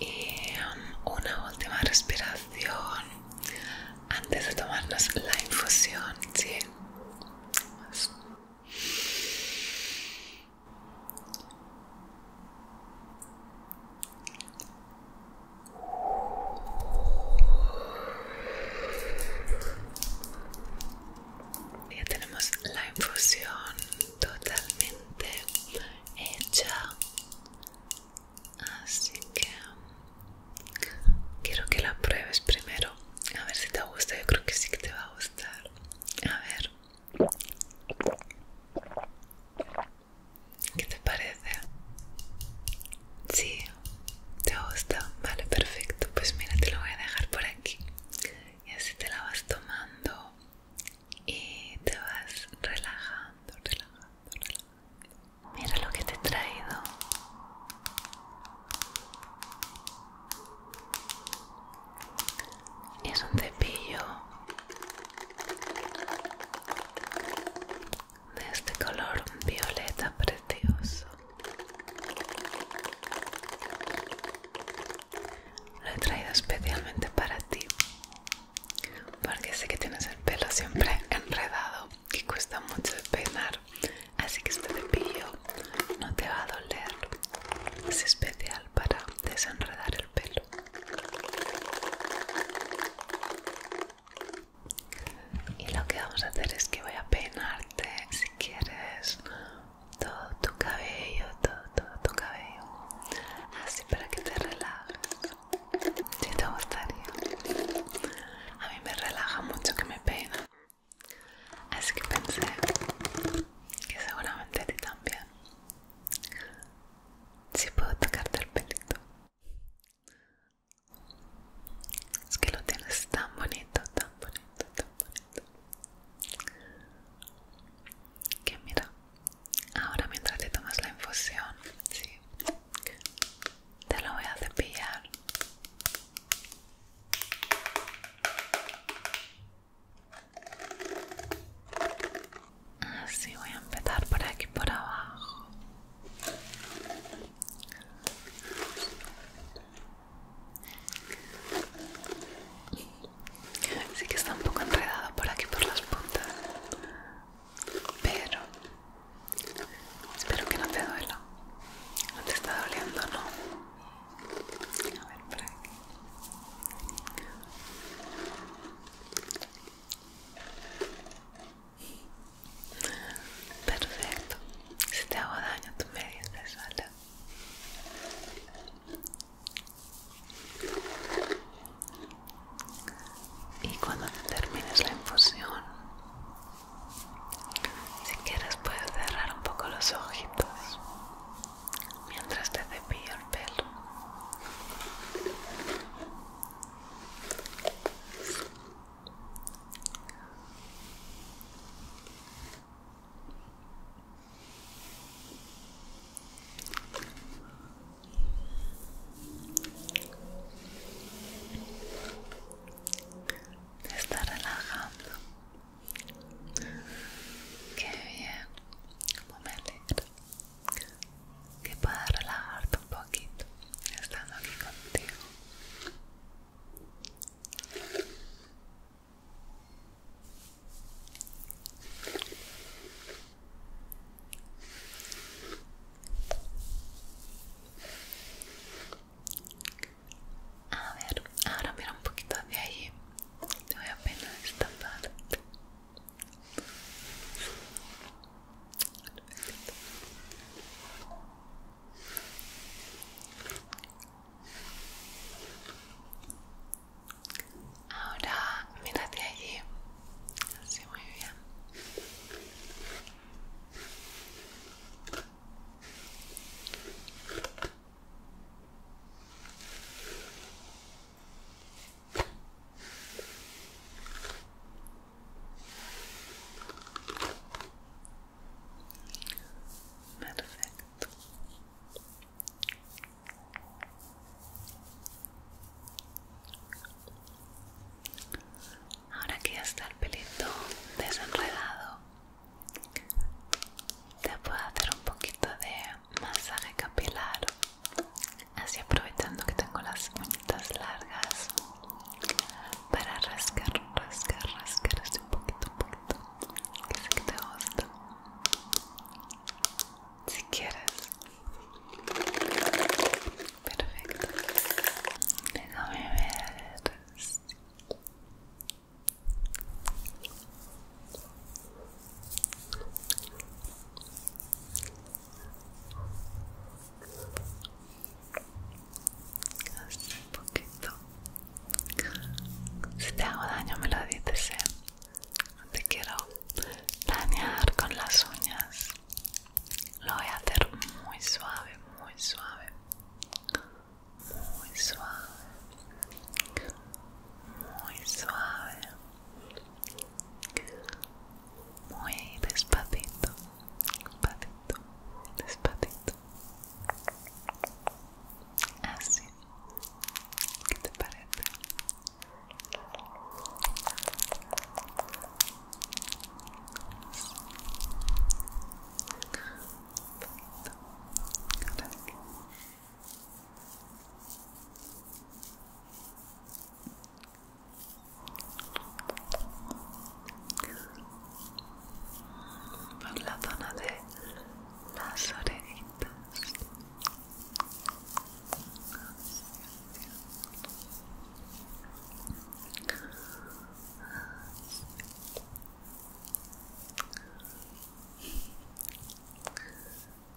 Y um, una última respiración antes de tomarnos la infusión, ¿sí? Ya tenemos la infusión totalmente hecha, así que quiero que la pruebes primero. A ver si te gusta, yo creo que sí que te va a gustar. A ver. ¿Qué te parece? Sí, te gusta. Vale, perfecto. Pues mira, te lo voy a dejar por aquí. Y así te la vas tomando y te vas relajando, relajando, relajando. Mira lo que te he traído. Es un cepillo de este color violeta precioso. Lo he traído especialmente para ti, porque sé que tienes el pelo siempre enredado y cuesta mucho peinar, así que este cepillo no te va a doler. Es especial para desenredar el pelo y lo que vamos a hacer es que voy a peinarte si quieres todo tu cabello, todo, todo tu cabello, así para que te relajes. Si te gustaría, a mí me relaja mucho que me peinan, así que pensé que seguramente a ti también. Si puedo tocarte el pelito. Es que lo tienes tan bonito, tan bonito, tan bonito. Que mira, ahora mientras te tomas la infusión, sí, te lo voy a cepillar. Así voy a empezar por aquí por abajo. Sí que está un poco enredado por aquí por las puntas, pero espero que no te duela. No te está doliendo, ¿no? A ver, por aquí. Perfecto. Si te hago daño, tú me dices, ¿vale? Y cuando termines la infusión, si quieres puedes cerrar un poco los ojitos mientras te cepillo el pelo está relajando. Qué bien. Como pues me alegro que pueda relajarte un poquito estando aquí contigo. A ver, ahora mira un poquito de allí. Te voy a esta Ahora mírate allí. Así muy bien. Perfecto. Ahora que ya está el pelito desenredado, te puedo hacer un poquito de masaje capilar, así aprovechando que tengo las uñitas largas para rascar, rascar, rascar así un poquito, un poquito, que sé que te gusta. Si quieres. Perfecto. Déjame ver un poquito. Si te hago daño me lo dices, ¿eh? te quiero dañar con las uñas. Lo voy a hacer muy suave, muy suave. Muy suave. Muy suave. Muy despacito despacito, despacito. Así. ¿Qué te parece? Perfecto por la zona de las orejitas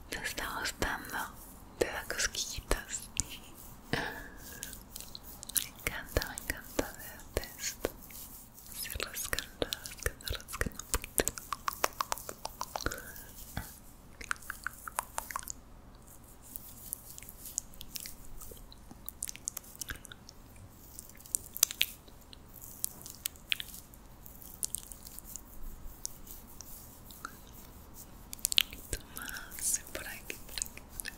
te está gustando te da cosquillitas [laughs] Me encanta, me encanta verte esto. Así rascando, rascando, rascando un poquito. Toma, por aquí, por aquí, por aquí.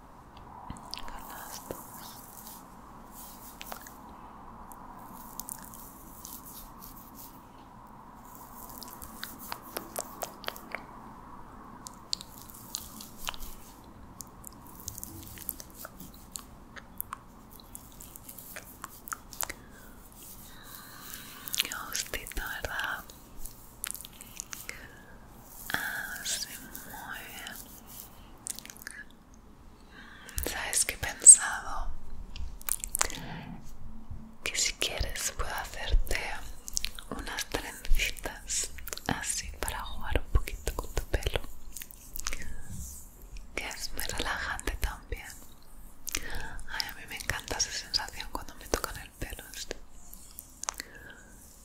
con las dos Qué gustito, ¿verdad? Así, muy bien. ¿Sabes que he pensado? Que si quieres puedo hacerte unas trencitas así para jugar un poquito con tu pelo. Que es muy relajante también. Ay, a mí me encanta esa sensación cuando me tocan el pelo. Este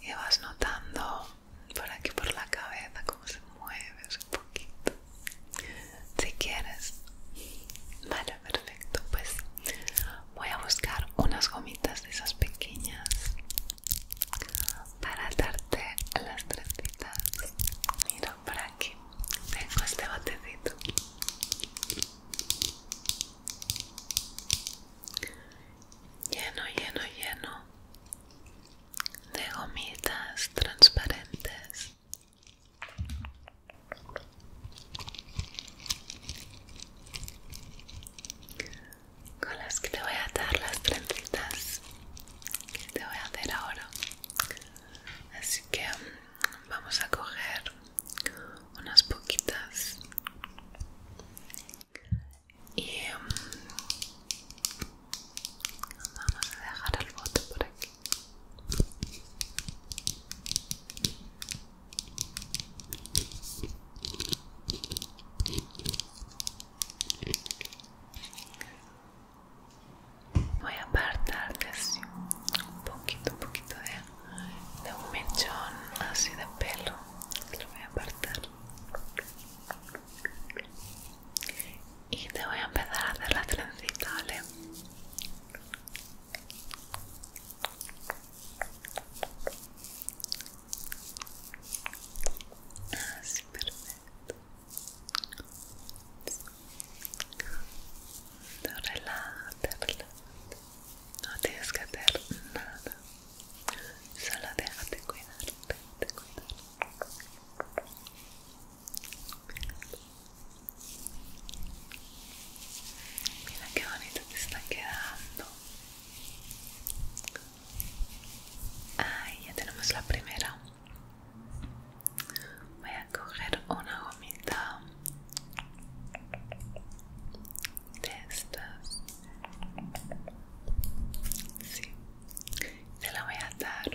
y vas notando por aquí por la cabeza como se mueve un poquito si quieres vale perfecto pues voy a buscar unas gomitas de esas pequeñas para darte las citas mira por aquí tengo este botecito lleno, lleno, lleno de gomitas transparentes. Con las que te voy a dar las trencitas que te voy a hacer ahora. Así que mm, vamos a coger unas poquitas y em, vamos a dejar el bote por aquí voy a apartar así un poquito un poquito de, de un mechón así de pelo lo voy a apartar y te voy a empezar a hacer las trencitas, ¿vale? Así, perfecto. Te te No tienes que hacer nada. Solo déjate cuidar, déjate cuidar. Mira qué bonito te está quedando. Ahí ya tenemos la primera. Voy a coger una gomita de estas Sí, te la voy a dar.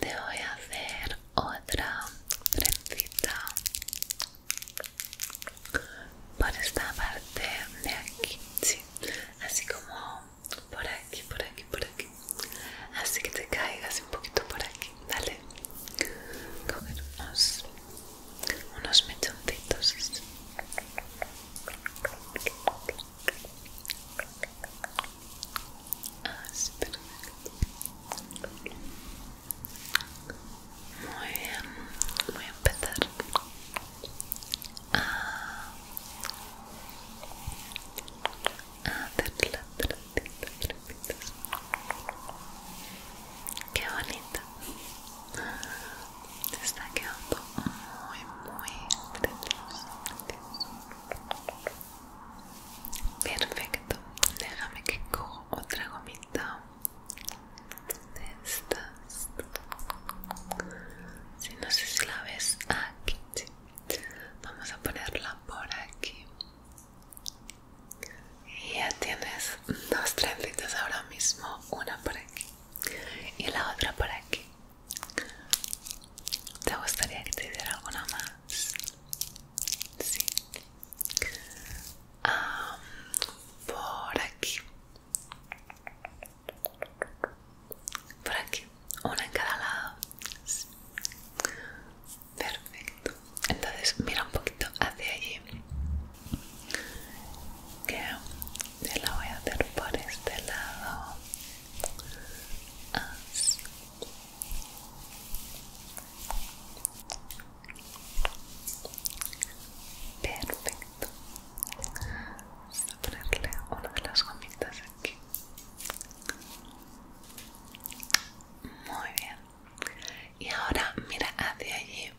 Te voy a hacer otra trenzita por esta parte de aquí, sí, así como por aquí, por aquí, por aquí, así que te caigas un poquito por aquí, dale, unos unos mechoncitos ah, sí, perfecto muy bien voy a empezar a ah. hacer ah, las tratitas, tratitas. Qué bonito está quedando muy muy precioso, perfecto déjame que cojo otra gomita de estas si no sé si la ves aquí vamos a ponerla por aquí y ya tienes dos trencitas ahora mismo, una por aquí y la otra por aquí. ¿Te gustaría que te diera alguna más? Sí. por aquí. Por aquí. Una en cada lado. Perfecto. Entonces mira un poquito hacia allí que la voy a hacer por este lado perfecto Voy a ponerle una de las gomitas aquí muy bien y ahora mira hacia allí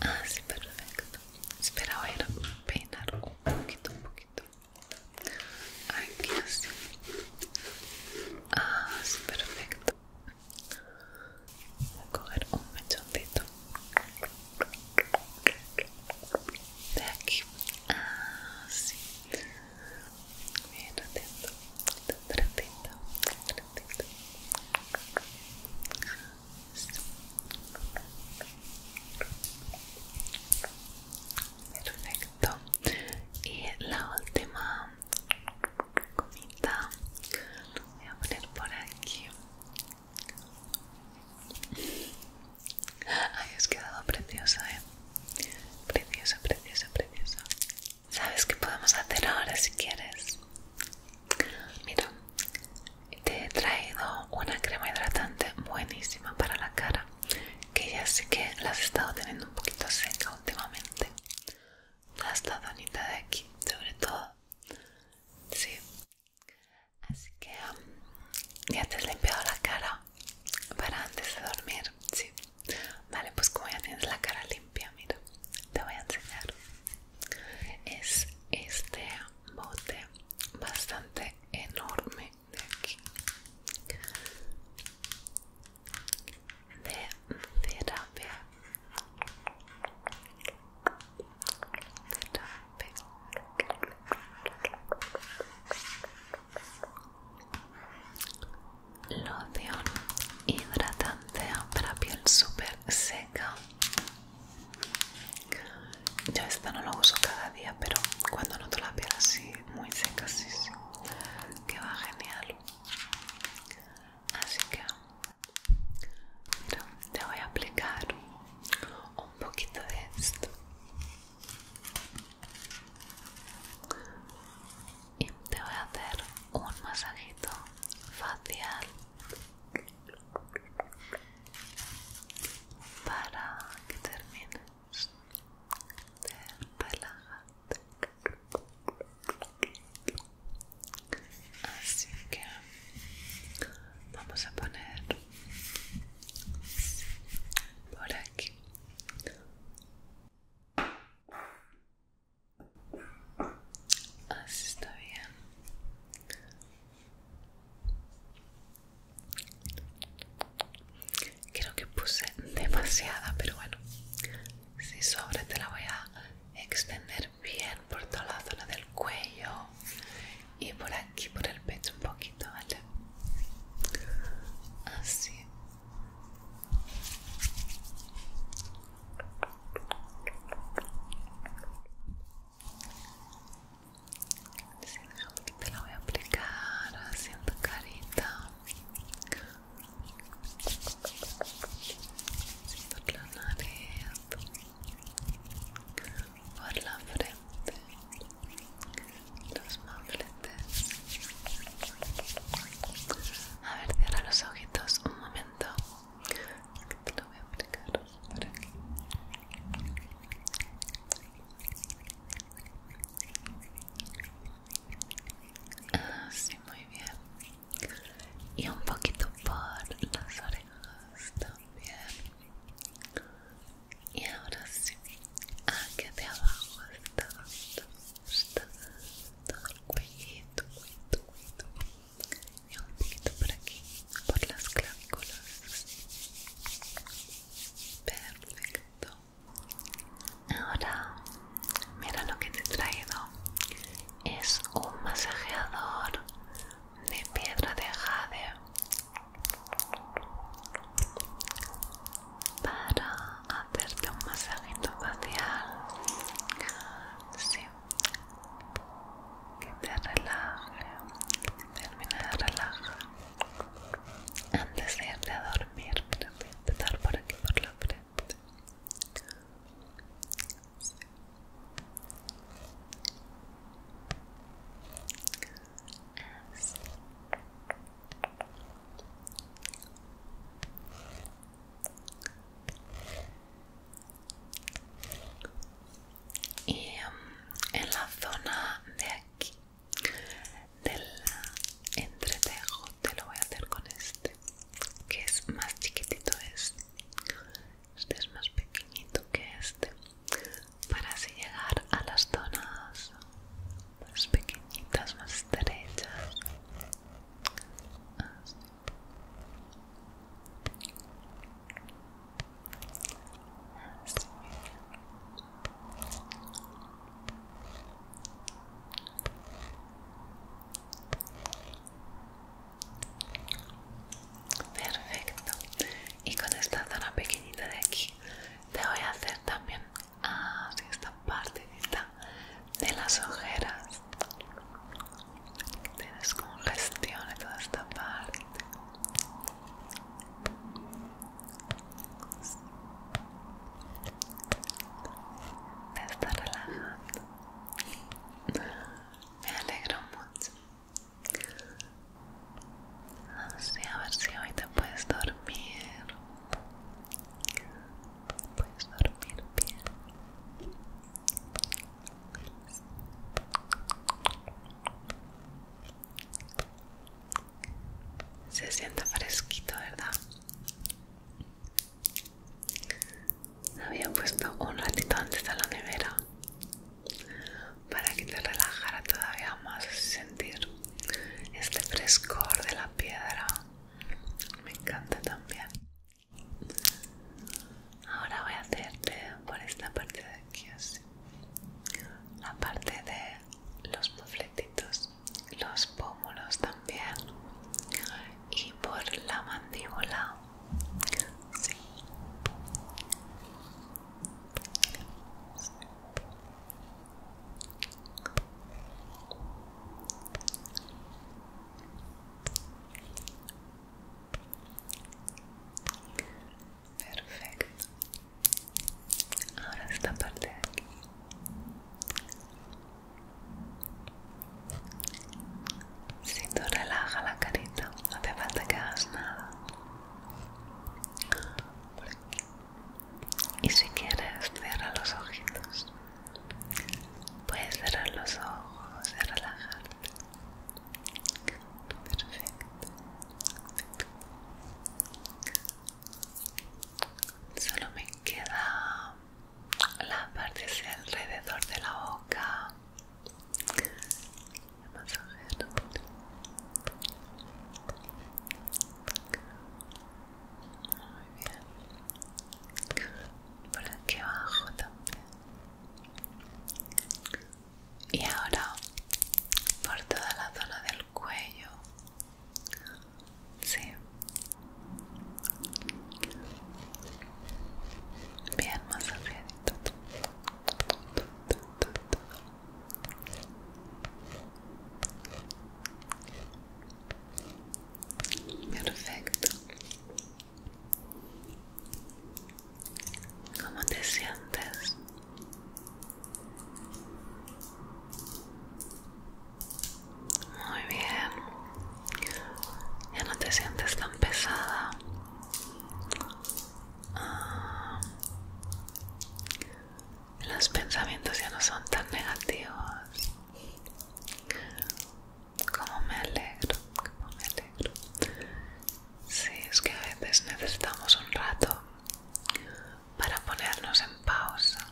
Así, ah, perfecto. Espera a peinar un poquito, un poquito. Aquí así. Así, ah, perfecto. Voy a coger un mechoncito de aquí. Así. Ah, Bien atento. Perfecto. Y la última comida voy a poner por aquí. Ay, has quedado preciosa, eh. Preciosa, preciosa, preciosa. ¿Sabes qué podemos hacer ahora si quieres? Mira, te he traído una crema hidratante buenísima para la cara, que ya sé que la has estado teniendo un poquito seca últimamente. la donita de aquí, sobre todo. Sí. Así que um, ya te has limpiado la cara para antes de dormir. Sí. Vale, pues como ya tienes la cara limpia te voy a enseñar. Es este bote bastante enorme de aquí. De terapia. Terapia. Loción hidratante para piel super seca yo esta no lo uso cada día, pero cuando noto la piel así, muy seca, sí, Que va genial. Así que te voy a aplicar un poquito de esto. Y te voy a hacer un masajito facial para que termines de relajarte así que vamos a poner por aquí Así ah, está bien. Creo que puse demasiada, pero bueno, si sobra te la voy a extender bien por toda la zona del cuello y por aquí, por el pecho un poquito, ¿vale? Así. Sí, que te la voy a aplicar haciendo carita por la nariz por la frente los mofletes a ver, cierra los ojitos un momento que lo voy a aplicar por aquí ah, así muy bien y un poquito por las orejas también y ahora sí aquí ah, de abajo está, todo y un poquito por aquí, por las clavículas. Perfecto. Ahora, mira lo que te he traído. Es un masajeador de piedra de jade para hacerte un masajito facial que te relaje, termina de relajar antes de irte a dormir, pero voy a dar por aquí por la frente y um, en la zona de aquí del entretejo te lo voy a hacer con este que es más chiquitito este este es más pequeñito que este para así llegar a las zonas más pequeñitas más estrechas Perfecto. Y con esta zona pequeñita de aquí te voy a hacer también ah, esta parte de las ojeras que te descongestione toda esta parte me está relajando me alegro mucho a ver si hoy te puedes dormir puedes dormir bien se siente fresquito, ¿verdad? Había puesto un ratito antes a la nevera para que te relajara todavía más sentir este frescor de la piedra. Me encanta también. Ahora voy a hacerte por esta parte de aquí La parte de los mofletitos, los pómulos también. Y por la mandíbula. Sí. Perfecto. Ahora esta parte de aquí. Si tú relaja la carita, no te falta que hagas nada. Y si quieres, cierra los ojitos. Puedes cerrar los ojos y relajarte perfecto solo me queda la parte alrededor de la boca Vamos a ver. muy bien por aquí abajo también y ahora por toda la zona del cuello sí bien más rápido, perfecto ¿Cómo te sientes? Muy bien. Ya no te sientes tan pesada. Ah, los pensamientos ya no son tan negativos como me alegro, como me alegro. Sí, es que a veces necesitamos un rato para ponernos en pausa,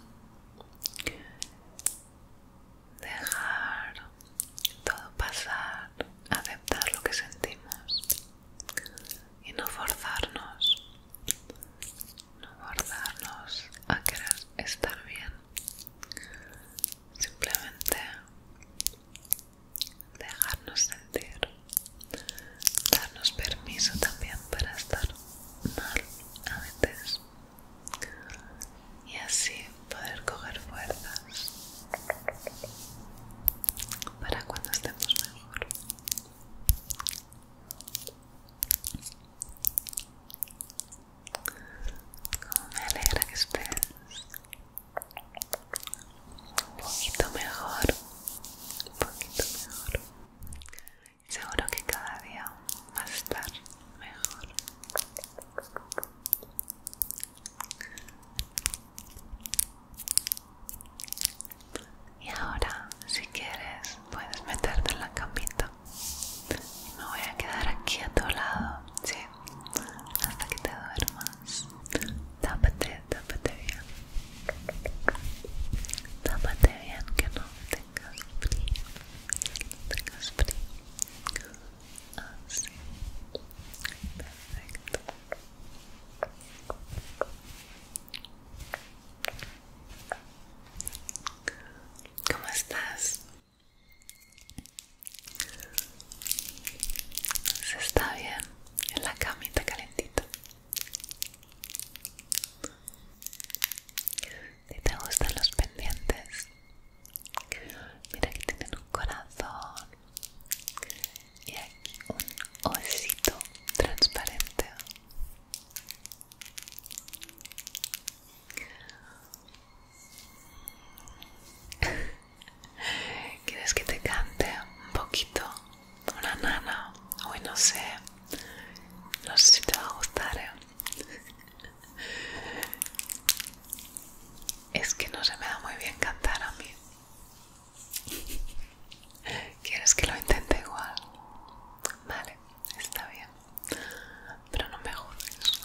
dejar todo pasar, aceptar lo que sentimos y no forzarnos, no forzarnos a querer estar bien simplemente dejarnos sentir, darnos permiso también para estar mal a veces y así poder coger fuerzas para cuando estemos mejor. Como me alegra que estés un poquito mejor, un poquito mejor. Seguro que cada día vas a estar mejor. Y ahora, si quieres, puedes meterte en la camita. Me voy a quedar aquí a tu lado, sí, hasta que te duermas. Tápate, tápate bien. Tápate bien que no tengas frío. Que no frío. ¿Cómo estás? Se está bien en la camita calentita. Si te gustan los pendientes, mira que tienen un corazón y aquí un osito transparente. [laughs] ¿Quieres que te cante un poquito? Una nana. Hoy no sé. No sé si te va a gustar. ¿eh? [laughs] Es que no se me da muy bien cantar a mí. [laughs] ¿Quieres que lo intente igual? Vale, está bien. Pero no me juzgues.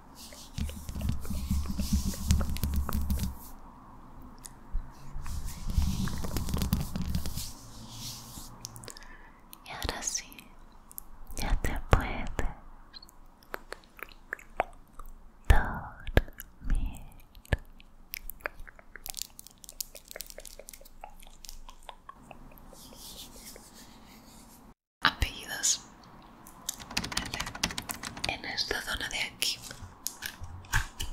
Y ahora sí, ya te puedes dormir apellidos en esta zona de aquí así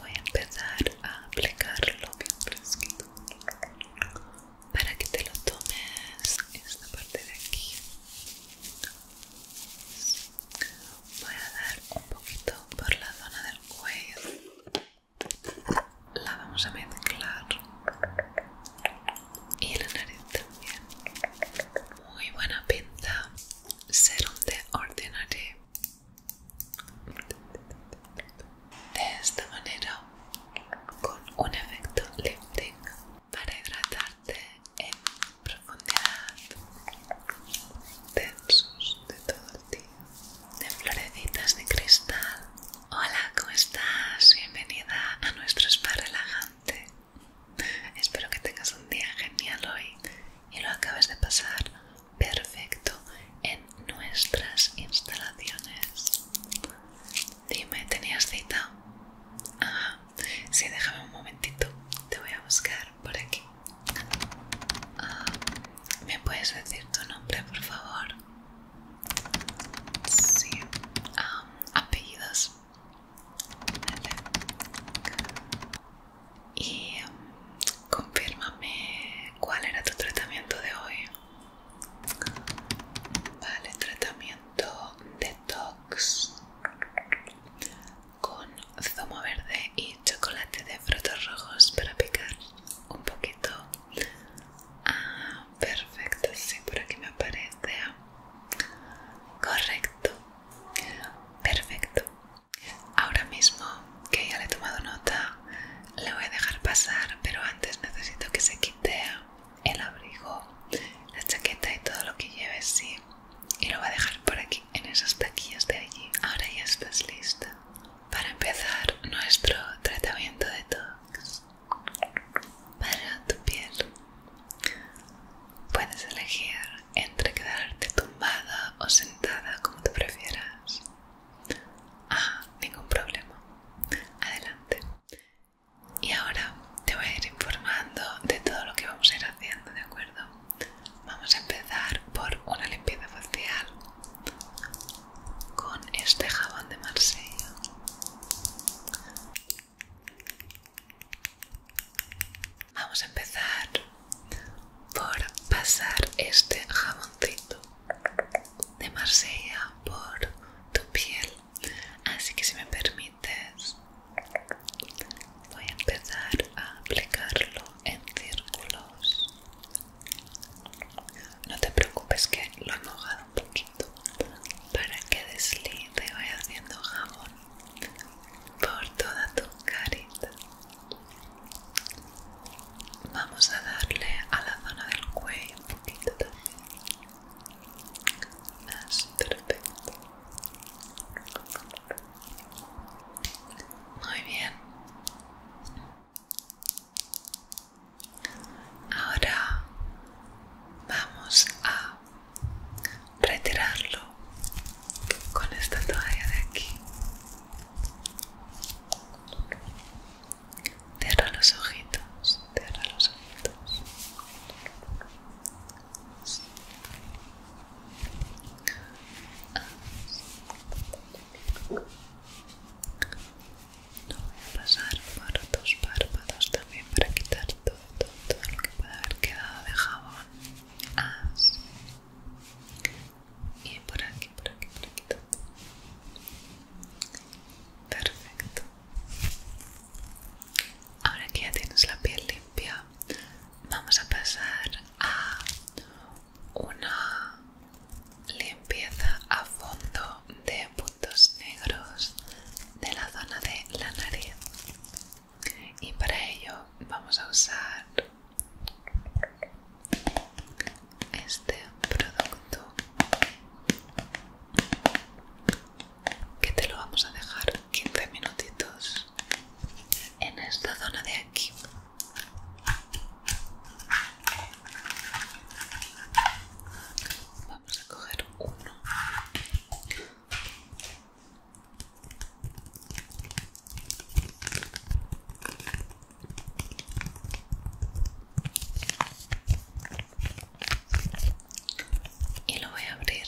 voy a empezar a aplicarlo bien fresquito para que te lo tomes esta parte de aquí voy a dar un poquito por la zona del cuello la vamos a mezclar y la nariz también muy buena pinta serum de Ordinary de esta manera con un efecto lifting para hidratarte en profundidad densos de todos de florecitas de cristal. Hola, ¿cómo estás? Bienvenida a nuestro spa relajante. Espero que tengas un día genial hoy y lo acabes de pasar perfecto en nuestras instalaciones. Dime, ¿tenías cita? Ajá, sí, déjame un momentito, te voy a buscar por aquí. Ah, ¿Me puedes decir tu nombre, por favor? Sí. apellidos. Y confírmame cuál era tu tratamiento de hoy. Vale, tratamiento detox con zumo verde y chocolate de frutos rojos para picar un poquito. Perfecto. Ah, perfecto, sí, por aquí me aparece. Correcto. Perfecto. Ahora mismo que ya le he tomado nota, le voy a dejar pasar, pero antes necesito que se quite el abrigo, la chaqueta y todo lo que lleve, sí. Y lo voy a dejar por aquí, en esas taquillas de allí. Ahora ya estás lista para empezar nuestro tratamiento de tox para tu piel. Puedes elegir entre quedarte tumbada o sentada como tú prefieras. Ah, ningún problema. Adelante. Y ahora te voy a ir informando de todo lo que vamos a ir haciendo, ¿de acuerdo? Vamos a empezar por una limpieza facial con este jabón de Marsella. Vamos a empezar por pasar este jaboncito de Marsella por tu piel. Así que si me permites, voy a empezar a aplicarlo en círculos. No te preocupes que lo he mojado un poquito para que deslice, y haciendo jabón por toda tu carita. Vamos a darle a la zona del cuello un poquito también. más perfecto. Muy bien. Ahora vamos a retirarlo con esta toalla de aquí. Cierra los ojitos, cierra los ojitos voy a pasar por tus párpados también para quitar todo, lo que puede haber quedado de jabón. Así. Y por aquí, por aquí, por aquí. Perfecto. Ahora que ya tienes la piel limpia, vamos a pasar a una limpieza a fondo de puntos negros de la zona de la nariz y para ello vamos a usar este producto que te lo vamos a dejar 15 minutitos en esta zona de aquí Vamos a coger uno. Y lo voy a abrir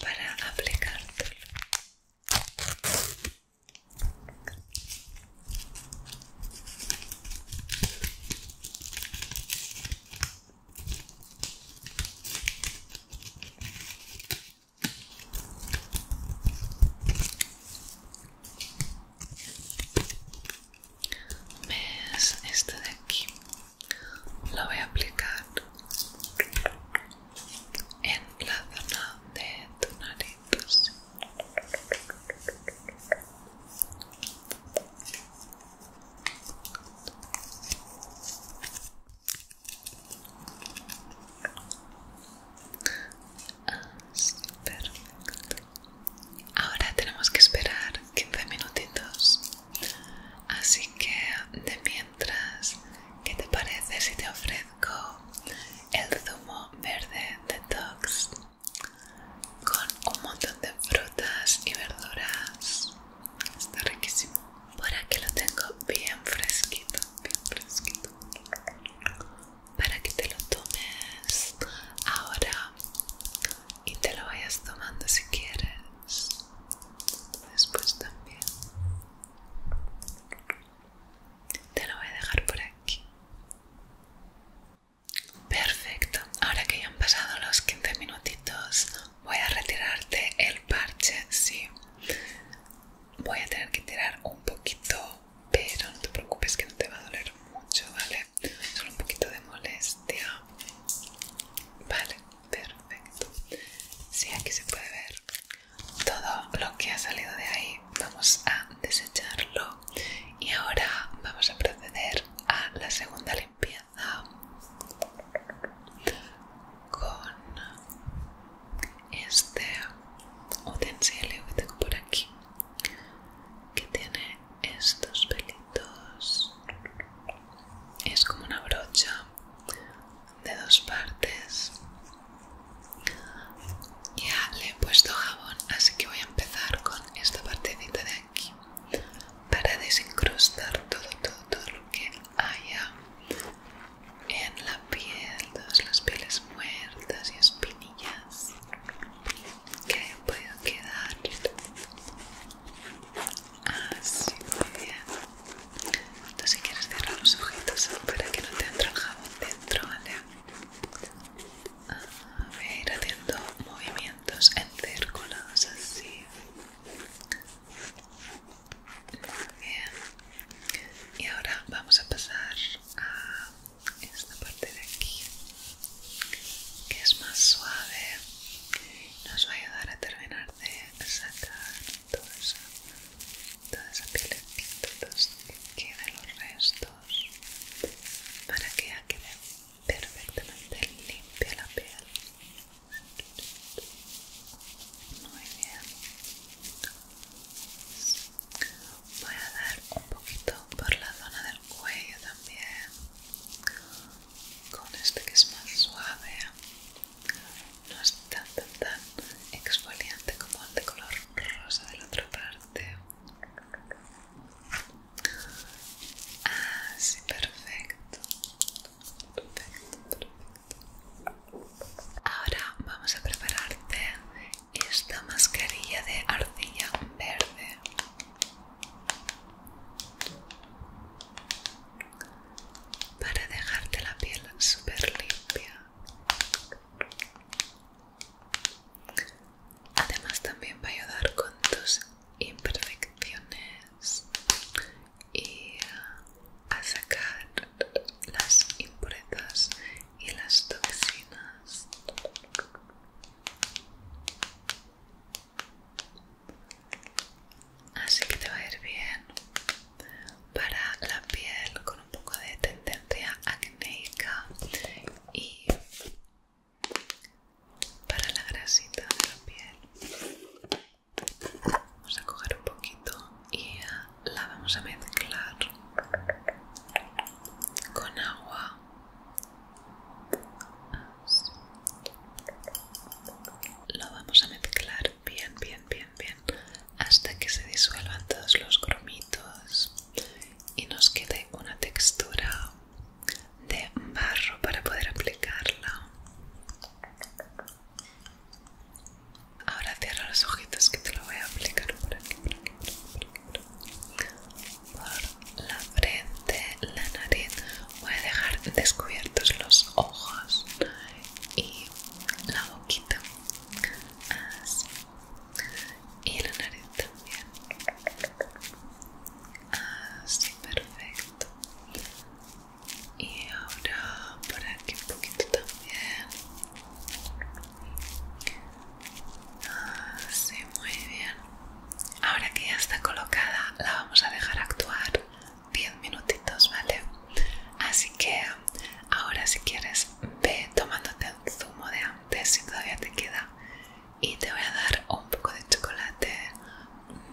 para aplicártelo ves este de aquí lo voy a aplicar en la zona de tu nariz perfecto. Ahora tenemos que esperar 15 minutitos. Así que de mientras, ¿qué te parece si te ofrezco? con el zumo verde de detox con un montón de frutas y verduras. Está riquísimo. Por aquí lo tengo bien fresquito, bien fresquito. Para que te lo tomes ahora y te lo vayas tomando si quieres. Después también te lo voy a dejar por aquí perfecto ahora que ya han pasado los 15 minutitos voy a retirarte el parche sí voy a tener que tirar un poquito pero no te preocupes que no te va a doler mucho vale solo un poquito de molestia vale perfecto sí aquí se puede ver todo lo que ha salido de ahí vamos a desecharlo y ahora vamos a proceder a la segunda limpieza con este utensilio que tengo por aquí que tiene estos pelitos es como una brocha de dos partes ya le he puesto jabón, así que voy a empezar con esta partecita de aquí para desincrustar todo, todo, lo que haya en la piel, todas las pieles muertas y espinillas que hayan quedar. Así, muy bien. si quieres cerrar los ojitos para que no te entre el jabón dentro, ¿vale? A ir haciendo movimientos en círculos así. bien. Y ahora vamos a pasar a esta parte de aquí, que es más suave. Nos va a ayudar a terminar de sacar toda esa, que los restos para que quede perfectamente limpia la piel. Muy bien. Voy a dar un poquito por la zona del cuello también. Con este que es más suave. No es tan tan tan exfoliante como el de color rosa de la otra parte. Ah, sí, perfecto. Perfecto, Ahora vamos a prepararte esta mascarilla de arcilla verde. Para dejarte la piel súper limpia. Además también va a ayudar con tus imperfecciones y ah, a sacar las impurezas y las toxinas. Así que te va a ir bien para la piel con un poco de tendencia acnéica y para la grasita de la piel vamos a coger un poquito y la vamos a mezclar con agua lo vamos a mezclar bien bien bien bien hasta que se disuelvan todos los cromitos y nos quede una textura de barro para poder aplicarla ahora cierra los ojitos que te lo voy a aplicar por aquí por, la frente la nariz voy a dejar descubiertos los ojos y la boquita así y la nariz también así ah, perfecto y ahora por aquí un poquito también así ah, muy bien ahora que ya está colocada la vamos a dejar actuar 10 minutitos vale así que ahora si quieres ve tomándote el zumo de si todavía te queda y te voy a dar un poco de chocolate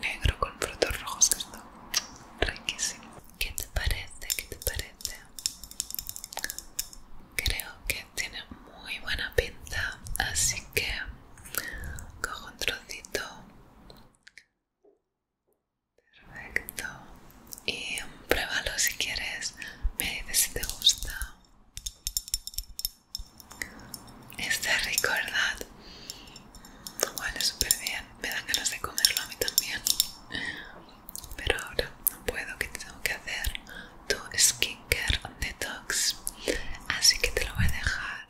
negro con frutos rojos que está riquísimo ¿qué te parece? ¿qué te parece? creo que tiene muy buena pinta así que cojo un trocito perfecto y pruébalo si quieres me dices si te gusta Está rico, ¿verdad? Huele súper bien. Me dan ganas de comerlo a mí también. Pero ahora no puedo, que tengo que hacer tu skincare detox. Así que te lo voy a dejar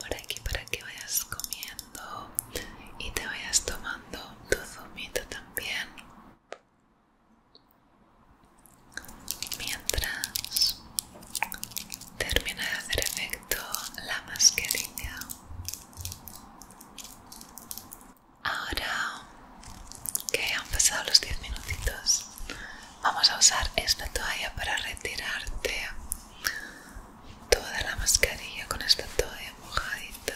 por aquí para que vayas comiendo y te vayas tomando tu zumito también mientras termina de hacer efecto la mascarilla. Ahora que han pasado los 10 minutitos, vamos a usar esta toalla para retirarte toda la mascarilla con esta toalla mojadita.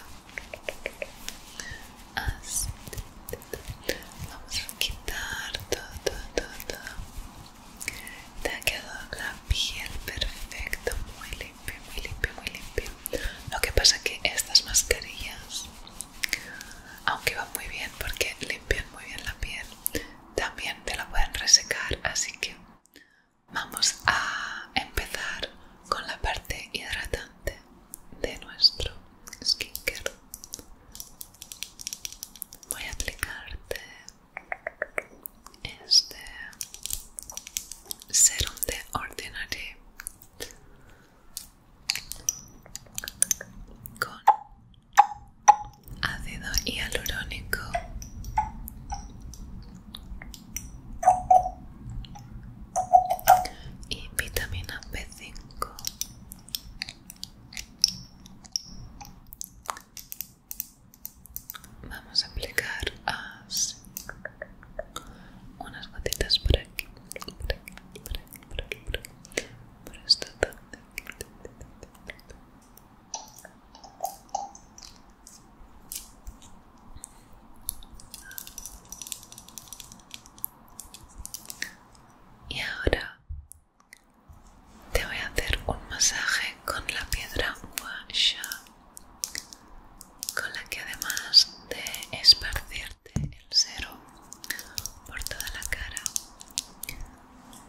Así. Vamos a quitar todo, todo, todo, Te ha quedado la piel perfecta, muy limpia, muy limpia, muy limpia. Lo que pasa que estas mascarillas, aunque van muy bien porque limpian muy bien la piel, también te la pueden resecar, así que vamos a empezar con la parte hidratante de nuestro skincare voy a aplicarte este serum de Ordinary con ácido hialurónico y vitamina B5 vamos a aplicar unas gotitas por aquí por aquí y ahora te voy a hacer un masaje con la piedra Washa, con la que además de esparcirte el cero por toda la cara,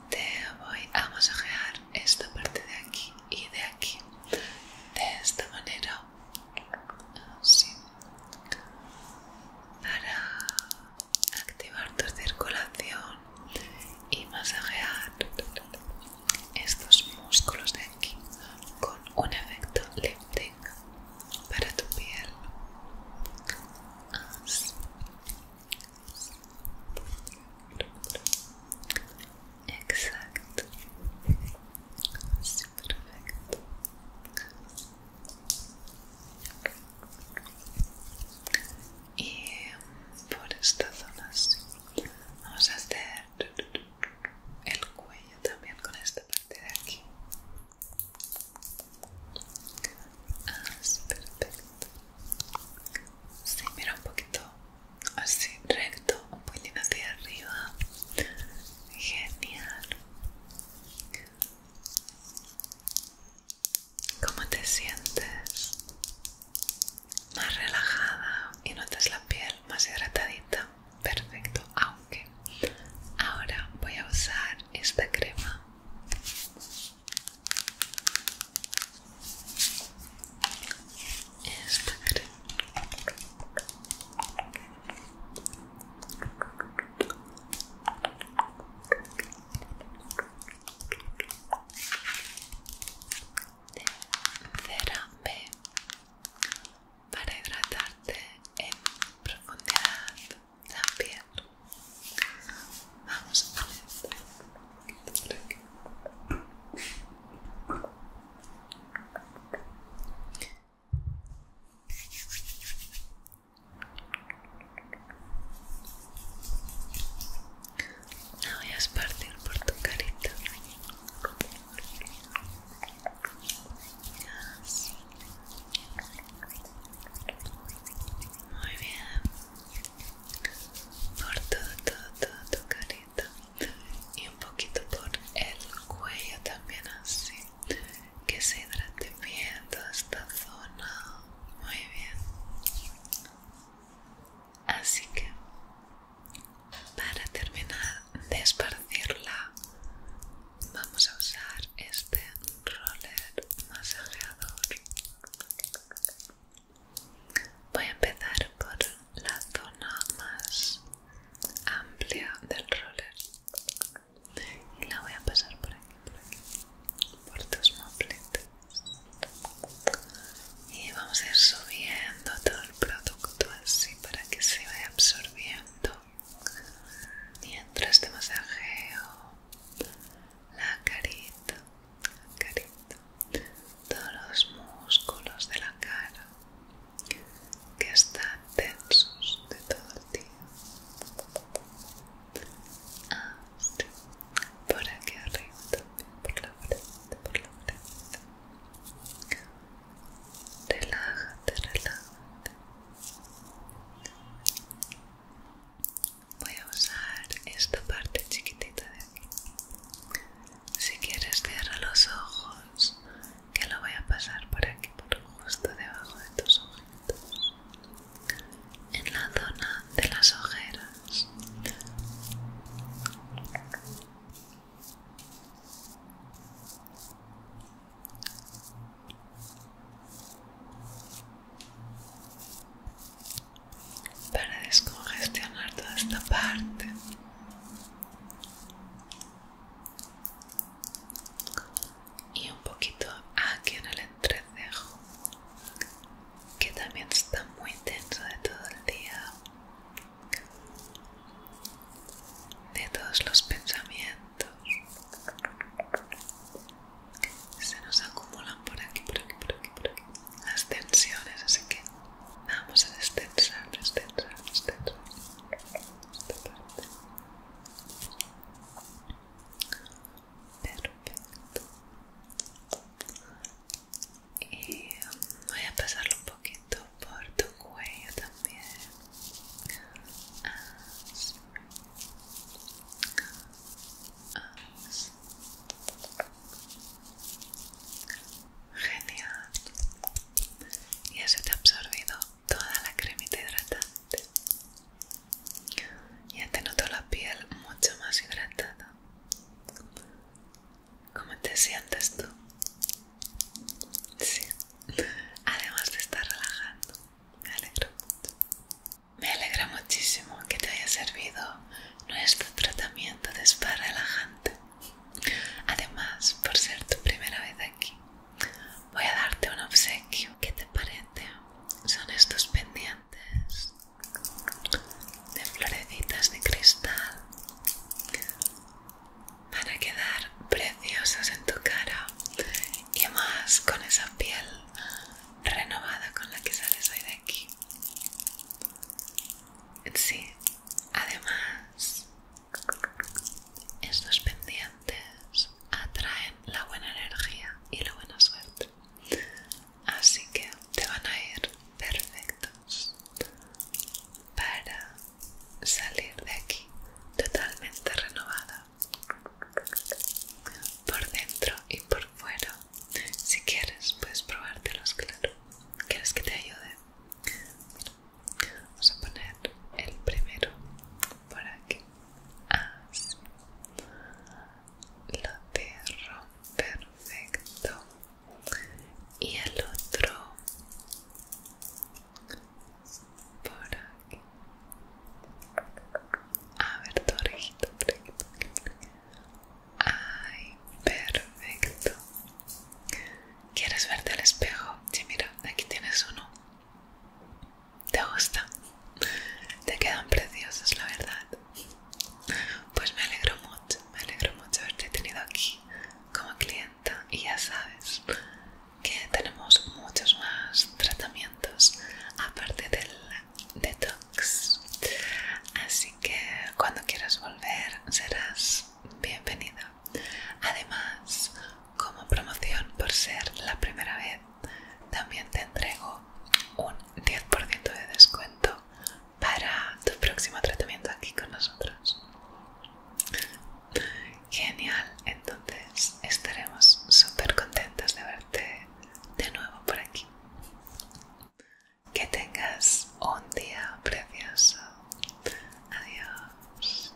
te voy a masajear esta parte de aquí y de aquí de esta manera para activar tu circulación y masajear estos músculos de aquí con un efecto lifting para tu piel Exacto y por esta zona sí. vamos a hacer el cuello también con esta parte de aquí así ah, perfecto sí, mira un poquito así recto un poquito hacia arriba genial ¿Cómo te sientes? Más relajada y notas la piel más hidratadita. Perfecto, aunque ahora voy a usar esta crema. Esta crema de Cerambe para hidratarte en profundidad también. Vamos a ver la voy a esparcir por tu carita. Muy bien. Por todo, todo, todo tu carita. Y un poquito por el cuello también así que se hidrate bien toda esta zona muy bien así que para terminar de esparcirla vamos a usar este roller masajeador voy a empezar por la zona más amplia del roller y la voy a pasar por aquí, por aquí, tus mofletes. Y vamos a ir subiendo todo el producto así para que se vaya absorbiendo. Mientras te masajeo la carita, la carita, todos los músculos de la cara que están tensos de todo el día. Por aquí arriba también, por la frente, por la frente. Relájate, relájate. Voy a usar esta parte chiquitita de aquí. Si quieres, cierra los ojos que lo voy a pasar por aquí, por justo debajo de tus ojitos, en la zona de las ojeras. Para descongestionar toda esta parte y un poquito aquí en el entrecejo que también está muy tenso de todo el día de todos los pensamientos se nos acumulan por aquí por aquí por aquí por aquí las tensiones así que vamos a destensar destensar destensar esta parte perfecto y voy a pasarlo un poquito por tu cuello también genial y eso te ha absorbido toda la cremita hidratante ya te este noto la piel mucho más hidratada ¿Cómo te sientes tú? Sí, [laughs] además de estar relajando, me alegro Me alegra muchísimo que te haya servido nuestro tratamiento de spa relajante. Además, por ser tu primera vez aquí, voy a darte un obsequio. ¿Qué te parece? Son estos pendientes de florecitas de cristal. Van a quedar preciosas en tu cara y más con esa piel renovada con la que sales hoy de aquí. Sí, además, estos pendientes atraen la buena energía y la buena suerte. Así que te van a ir perfectos para salir de aquí totalmente renovada por dentro y por fuera. Si quieres, puedes probártelos, claro. ¿Quieres que te ayude? Vamos a poner el primero por aquí así lo cierro perfecto y el otro por aquí a ver tu orejito por ay perfecto ¿Quieres verte al espejo? Sí, mira, aquí tienes uno. ¿Te gusta? Te quedan preciosos, la verdad. Pues me alegro mucho, me alegro mucho haberte tenido aquí como clienta y ya sabes que tenemos muchos más tratamientos aparte del detox. Así que cuando quieras volver serás bienvenida. Además, como promoción por ser la primera vez también te entrego un 10% de descuento para tu próximo tratamiento aquí con nosotros. Genial, entonces estaremos súper contentos de verte de nuevo por aquí. Que tengas un día precioso. Adiós.